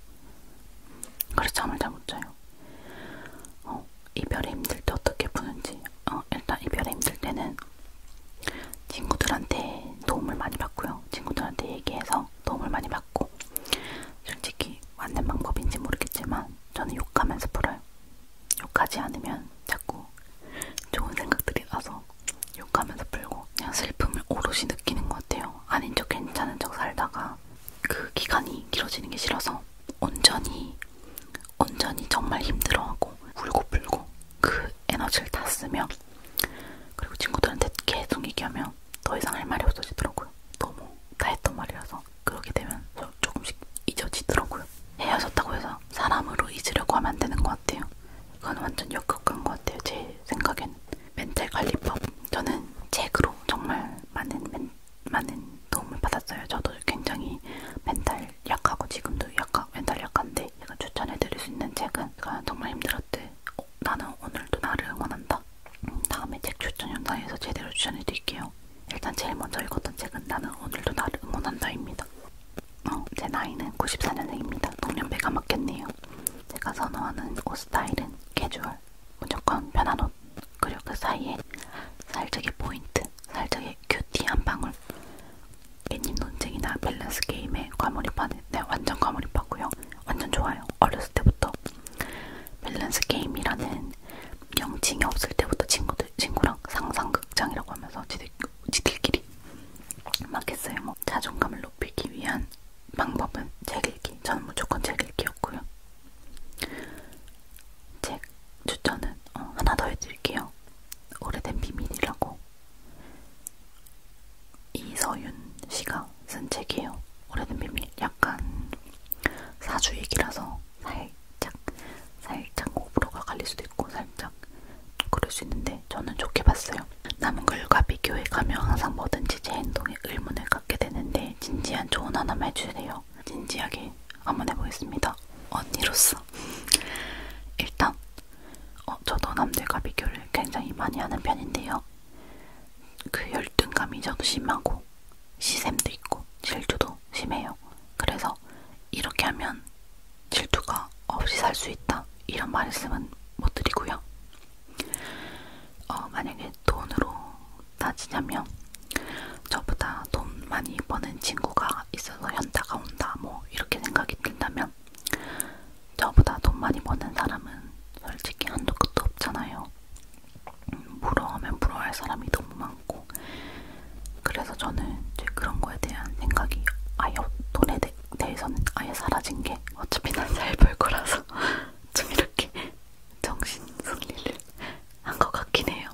그래서 잠을 잘 못 자요. 어, 이별이 힘들 때 어떻게 푸는지 어, 일단 이별이 힘들 때는 친구들한테 도움을 많이 받고요. 친구들한테 얘기해서 도움을 많이 받고 솔직히 맞는 방법인지 모르겠지만 저는 욕하면서 풀어요. 욕하지 않으면 자꾸 좋은 생각들이 나서 욕하면서 풀고 그냥 슬픔을 오롯이 느끼는 것 같아요. 아닌 척 괜찮은 척 살다가 그 기간이 길어지는 게 싫어서 온전히 온전히 정말 힘들어하고 울고 불고 그 에너지를 다 쓰며 그리고 친구들한테 계속 얘기하면 더 이상 할 말이 없어지더라고요. 너무 다 했던 말이라서 그렇게 되면 조금씩 잊어지더라고요. 헤어졌다고 해서 사람으로 잊으려고 하면 안 되는 것 같아요. 그건 완전 역극한 것 같아요. 제 생각에는 멘탈 관리법. 저는 책으로 정말 많은 멘, 많은 도움을 받았어요. 저도 굉장히 멘탈 약하고 지금도 약하, 멘탈 약한데 제가 추천해드릴 수 있는 책은 제가 정말 힘들었을 어, 나는 오늘도 나를 응원한다. 음, 다음에 책 추천 영상에서 제대로 추천해드릴게요. 일단 제일 먼저 읽었던 책은 나는 오늘도 나를 응원한다입니다. 어, 제 나이는 94년생입니다. 동년배가 맞겠네요. 제가 선호하는 옷 스타일은 캐주얼, 무조건 편한 옷, 그리고 그 사이에 살짝의 포인트, 살짝의 큐티 한 방울, 애니 논쟁이나 밸런스 게임에 과몰입하는, 네, 완전 과몰입하고요. 완전 좋아요. 어렸을 때부터 밸런스 게임이라는 명칭이 없을 때부터 친구들 친구랑 상상극장이라고 하면서 지들, 지들끼리 막 했어요. 뭐 자존감을 높이기 위한 방법은 책 읽기. 저는 무조건 책 읽기였고요. 책 추천은 어, 하나 더 해드릴게요. 오래된 비밀이라고 이서윤 씨가 쓴 책이에요. 오래된 비밀. 약간 사주익이라서 살짝 살짝 호불호가 갈릴 수도 있고 살짝 그럴 수 있는데 저는 좋게 봤어요. 남은 글과 비교해 가며 항상 뭐든지 제 행동에 의문을 갖게 되는데 진지한 조언 하나만 해주세요. 진지하게 한번 해보겠습니다. 언니로서 일단 어, 저도 남들과 비교를 굉장히 많이 하는 편인데요. 그 열등감이 저도 심하고 시샘도 있고 질투도 심해요. 그래서 이렇게 하면 질투가 없이 살 수 있다 이런 말씀은 못 드리고요. 어, 만약에 돈으로 따지자면 저보다 돈 많이 버는 친구가 있어서 현타가 온다 뭐 이렇게 생각이 든다면 저보다 돈 많이 버는 사람은 솔직히 한도 끝도 없잖아요. 부러워하면 부러워할 사람이 너무 많고 그래서 저는 이제 그런 거에 대한 생각이 아예 돈에 대, 대해서는 아예 사라진 게 어차피 난잘벌 거라서 좀 이렇게 정신 승리를 한 것 같긴 해요.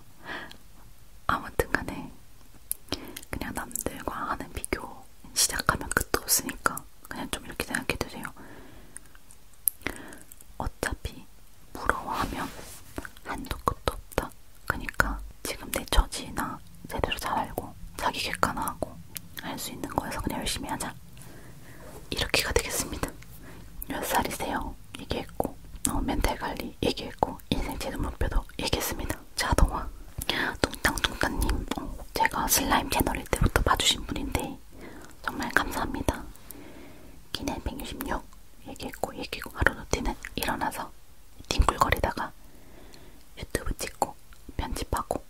아무튼 간에 그냥 남들과 하는 비교 시작하면 끝도 없으니까 그냥 좀 이렇게 생각해주세요. 어차피 부러워하면 한도 끝도 없다. 그러니까 지금 내 처지나 제대로 잘 알고 자기 객관화하고 할 수 있는 거에서 그냥 열심히 하자. 이렇게가 되겠습니다. 몇 살이세요? 얘기했고 어, 멘탈 관리 얘기했고 인생 최종 목표도 얘기했습니다. 자동화 뚱땅뚱땅님 어, 제가 슬라임 채널일 때부터 봐주신 분인데 정말 감사합니다. 기내 166 얘기했고 얘기고 하루노티는 일어나서 뒹굴거리다가 유튜브 찍고 편집하고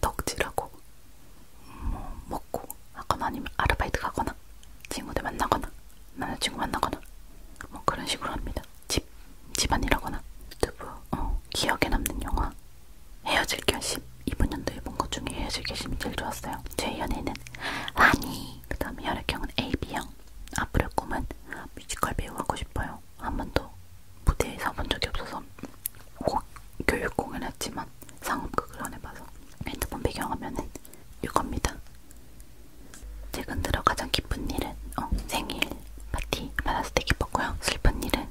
덕질하고 뭐 먹고 하거나 아니면 아르바이트 가거나 친구들 만나거나 남자친구 만나거나 뭐 그런 식으로 합니다. 집 집안이라거나 유튜브 어, 기억에 남는 영화 헤어질 결심 이번 연도에 본 것 중에 헤어질 결심이 제일 좋았어요. 제 연애는 아니 그 다음에 혈액형은 AB형 앞으로 꿈은 뮤지컬 배우 하고 싶어요. 한 번도 무대에 서본 적이 없어서 고, 교육 공연했지만 상업극을 안 해봐서 핸드폰 배경화면은 이겁니다. 최근 들어 가장 기쁜 일은 어, 생일 파티 받았을 때 기뻤고요. 슬픈 일은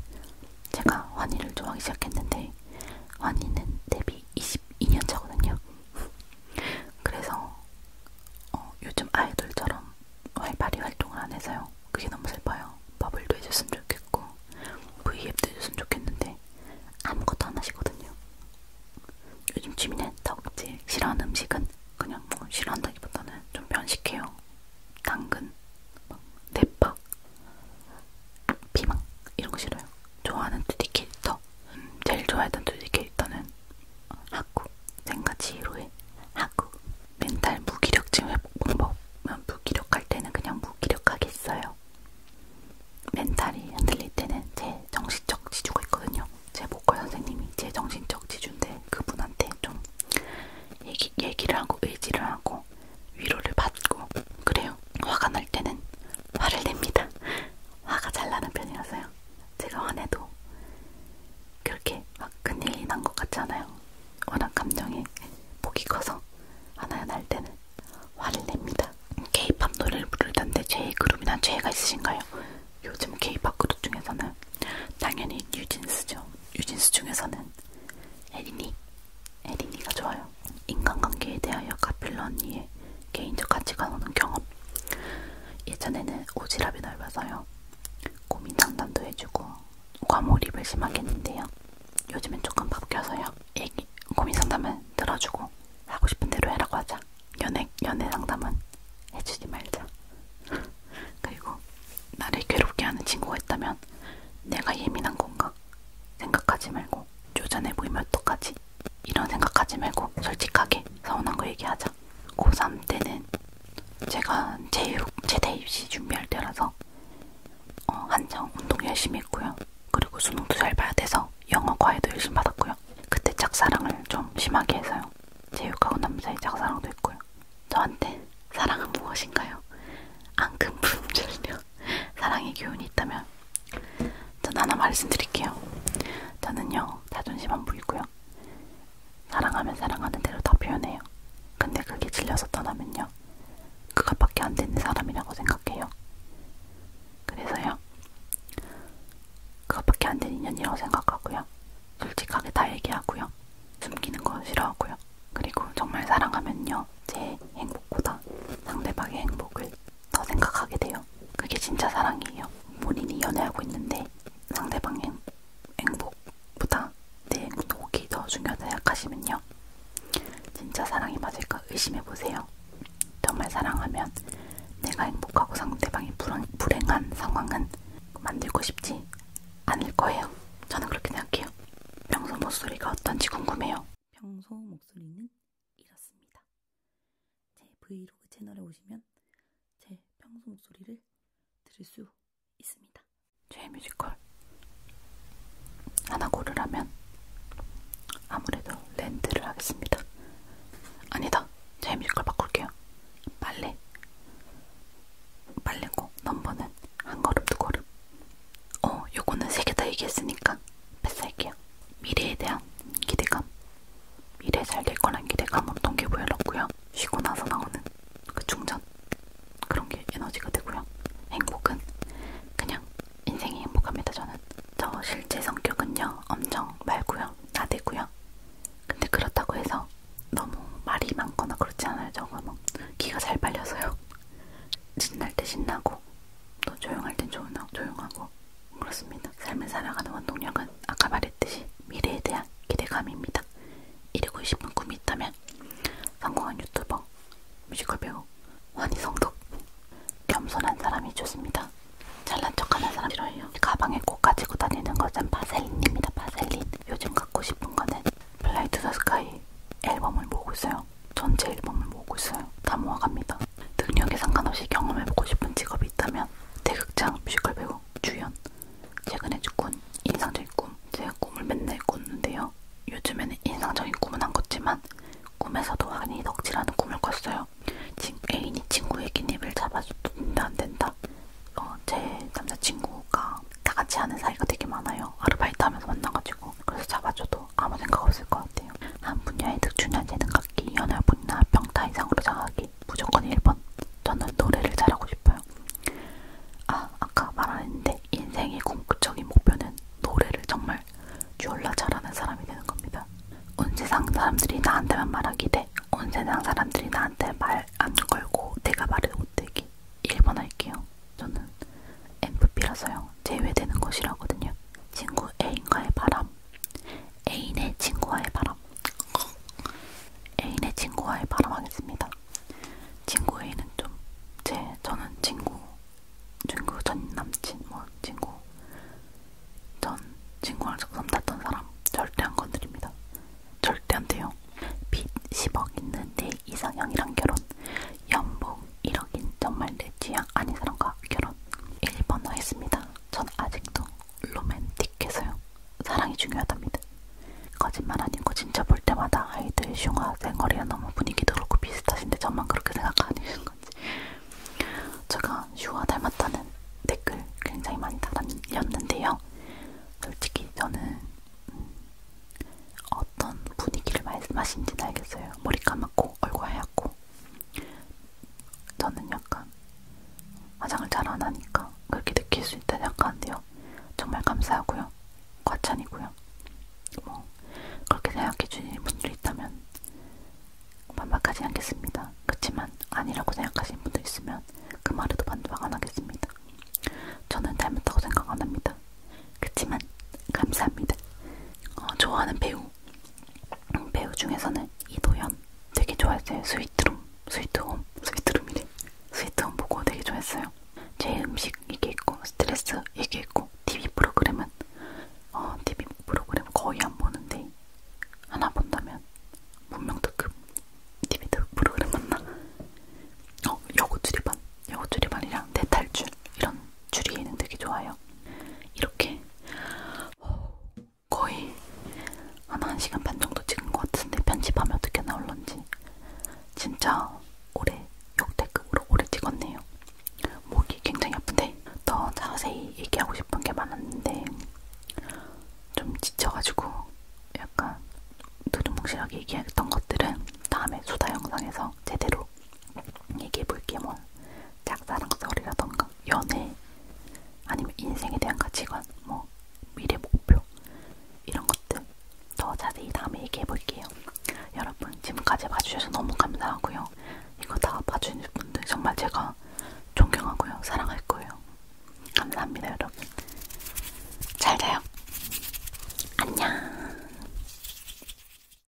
제가 환희를 좋아하기 시작했는데 환희는 데뷔 22년 차거든요. 그래서 어, 요즘 아이돌처럼 활발히 활동을 안 해서요. 그게 너무 슬퍼요. 버블도 해줬으면 좋겠고 V앱도 해줬으면 좋겠는데 아무것도 안 하시거든요. 요즘 취미는 덕질, 싫어하는 음식은 그냥 뭐 싫어한다기보다는 좀 변식해요. 당근, 막 대파, 피망 이런 거 싫어요. 좋아하는 2D 캐릭터 음, 제일 좋아했던 2D 캐릭터는 하쿠 생가치 히로의 하쿠 멘탈 무기력증 회복 방법 무기력할 때는 그냥 무기력하겠어요. 멘탈이 흔들릴 때는 제 정신적 지주가 있거든요. 제 보컬 선생님이 제 정신적 지주인데 그분한테 좀 얘기, 얘기를 하고 의지를 하고 위로를 받고 그래요. 화가 날 때는 화를 냅니다. 화가 잘 나는 편이라서요. 제가 화내도 그렇게 막 큰일이 난 것 같지 않아요. 워낙 감정이 폭이 커서 화나야 날 때는 화를 냅니다. 케이팝 노래를 부르던데 제 그룹이나 죄가 있으신가요? 요즘 케이팝 그룹 중에서는 당연히 뉴진스죠. 뉴진스 중에서는 에린이 에린이가 좋아요. 인간관계에 대하여 카필러 언니의 개인적 가치관 오는 경험. 예전에는 오지랖이 넓어서요. 고민 상담도 해주고 과몰입을 심하게 했는데요. 요즘엔 조금 바뀌어서요. 얘기, 고민 상담은 들어주고 하고 싶은 대로 해라고 하자. 연애, 연애 상담은 해주지 말자. 그리고 나를 괴롭게 하는 친구가 있다면 내가 예민한 건가 어떡할까 생각하지 말고 쪼잔해 보이면 어떡하지 이런 생각하지 말고 솔직하게 서운한 거 얘기하자 고3 때는 제가 제육, 제대 입시 준비할 때라서 어, 한창 운동 열심히 했고요 그리고 수능도 잘 봐야 돼서 영어 과외도 열심히 받았고요 그때 짝사랑을 좀 심하게 해서요 제육하고 남자의 짝사랑도 했고요 저한테 사랑은 무엇인가요? 앙금 부름절려 사랑의 교훈이 있다면 전 하나 말씀드릴게요. 저는요 자존심 안 부리고요. 사랑하면 사랑하는 대로 다 표현해요. 근데 그게 질려서 떠나면요. 그것밖에 안 되는 사람이라고 생각해요. 그래서요. 그것밖에 안 되는 인연이라고 생각하고요. 솔직하게 다 얘기하고요. 숨기는 거 싫어하고요. 그리고 정말 사랑하면요. 제 행복보다 상대방의 행복을 더 생각하게 돼요. 그게 진짜 사랑이에요. 본인이 연애하고 있는데 상대방의 행복보다 내 행복이 더 중요하다 생각하시면요. 진짜 사랑이 맞을까 의심해보세요. 정말 사랑하면 내가 행복하고 상대방이 불안, 불행한 상황은 만들고 싶지 않을 거예요. 저는 그렇게 생각해요. 명소 목소리가 어떤지 궁금해요. 평소 목소리는 이렇습니다. 제 브이로그 채널에 오시면 제 평소 목소리를 들을 수 있습니다. 제 뮤지컬 하나 고르라면 아무래도 렌트를 하겠습니다. 아니다. 제 뮤지컬 바꿀게요. 빨래. 빨래고 넘버는 한 걸음 두 걸음. 어, 요거는 세 개 다 얘기했으니까 뺏을게요. 미래에 대한 기대감. 미래 잘 될 거란 기대감으로 동기부여를 얻고요. 쉬고 나서 나오는 그 충전. 그런 게 에너지가 되고요. 행복은 그냥 인생이 행복합니다, 저는. 저 실제 성격은요, 엄청 말고요. 나대고요. 근데 그렇다고 해서 너무 말이 많거나 그렇지 않아요. 저거 뭐 기가 잘 빨려서요. 신날 때 신나고 또 조용할 땐 조용하고, 조용하고 그렇습니다. 삶을 살아가는 원동력은 아까 말했듯이 미래에 대한 기대감입니다. 이루고 싶은 꿈이 있다면 성공한 유튜버, 뮤지컬 배우, 환희성덕, 겸손한 사람이 좋습니다. 잘난 척하는 사람 싫어해요. 가방에 꼭 가지고 다니는 것은 바셀린입니다. 바셀린. 요즘 갖고 싶은 거는 플라이 투더 스카이 앨범을 보고 있어요. 그냥 전체 앨범을 모으고 있어요. 다 모아갑니다. 능력에 상관없이 경험해보고 싶은 직업이 있다면 대극장 뮤지컬 배우, 주연, 최근에 죽은 인상적인 꿈. 제가 꿈을 맨날 꿨는데요. 요즘에는 인상적인 꿈은 안 꿨지만 꿈에서도 환히 덕질하는 꿈을 꿨어요. 애인이 친구의 기입을 잡아준다 안 된다. 어, 제 남자친구가 다 같이 하는 사이가 되게 많아요. 아르바이트 하면서 만나가지고. 그래서 잡아줘도 해도 아무 생각 없을 것 같아요. 한 분야의 특출난 재능 갖기, 연할 분이나 평타 이상으로 장하기 무조건 1번. 저는 노래를 잘하고 싶어요. 아, 아까 말했는데 인생의 궁극적인 목표는 노래를 정말 졸라 잘하는 사람이 되는 겁니다. 온 세상 사람들이 나한테만 말하기대. 온 세상 사람들이 나한테 말 안 걸고 내가 말을 못하기. 1번 할게요. 저는 MFP라서요. 제외되는 것이라거든요. 친구 애인과의 바람. 애인의 친구와의 바람. 애인의 친구와의 바람 하겠습니다. 친구 애인은 좀제 저는 친구 친구 전 남친 뭐 친구 전 친구랑 적삼 탔던 사람 절대 안 건드립니다. 절대 안 돼요. 빚 10억 있는 내 이상형이랑 결혼 연봉 1억인 정말 내 취향 아닌 사람과 결혼 1번호 했습니다. 전 아직도 로맨틱해서요. 사랑이 중요하답니다. 거짓말 아니고 진짜 볼 때마다 아이들의 흉화 생거리가 너무 분위기도 그렇고 비슷하신데 저만 그렇게 생각하는 건지 제가 슈와 닮았다는 댓글 굉장히 많이 달았는데요. 솔직히 저는 음, 어떤 분위기를 말씀하신지는 알겠어요. 머리 감았고 하얗고 얼굴 하얗고 저는 약간 화장을 잘 안 하니까 그렇게 느낄 수 있다는 약한데요. 정말 감사하고요. 과찬이고요. 뭐 그렇게 생각해 주시는 분들이 있다면 반박하지 않겠습니다. 그렇지만 아니라고 생각하시는 분들 있으면 그 말에도 반박 안 하겠습니다. 저는 닮았다고 생각 안 합니다. 그렇지만 감사합니다. 어, 좋아하는 배우 배우 중에서는 이도현 되게 좋아했어요. 스위트룸, 스위트홈, 스위트룸이래. 스위트홈 보고 되게 좋아했어요. 제 음식 이게 있고 스트레스 이게 있고 TV 프로그램은 어, TV 프로그램 거의 안 보는데 하나 본다면 문명특급 TV 프로그램 맞나? 어, 여고출입반, 여고출입반이랑 내 네 탈출 이런 추리에는 되게 좋아요. 이렇게 거의 한 1시간 반 정도 찍은 것 같은데 편집하면 어떻게 나올런지 진짜 오래 역대급으로 오래 찍었네요. 목이 굉장히 아픈데 더 자세히 얘기하고 싶은 게 많았는데 좀 지쳐가지고 약간 두루뭉실하게 얘기했던 것들은 다음에 수다 영상에서 제대로 주로 얘기해볼게 뭐 짝사랑 썰이라던가 연애 아니면 인생에 대한 가치관 뭐 미래 목표 이런 것들 더 자세히 다음에 얘기해볼게요. 여러분 지금까지 봐주셔서 너무 감사하고요. 이거 다 봐주신 분들 정말 제가 존경하고요. 사랑할 거예요. 감사합니다 여러분. 잘 자요. 안녕.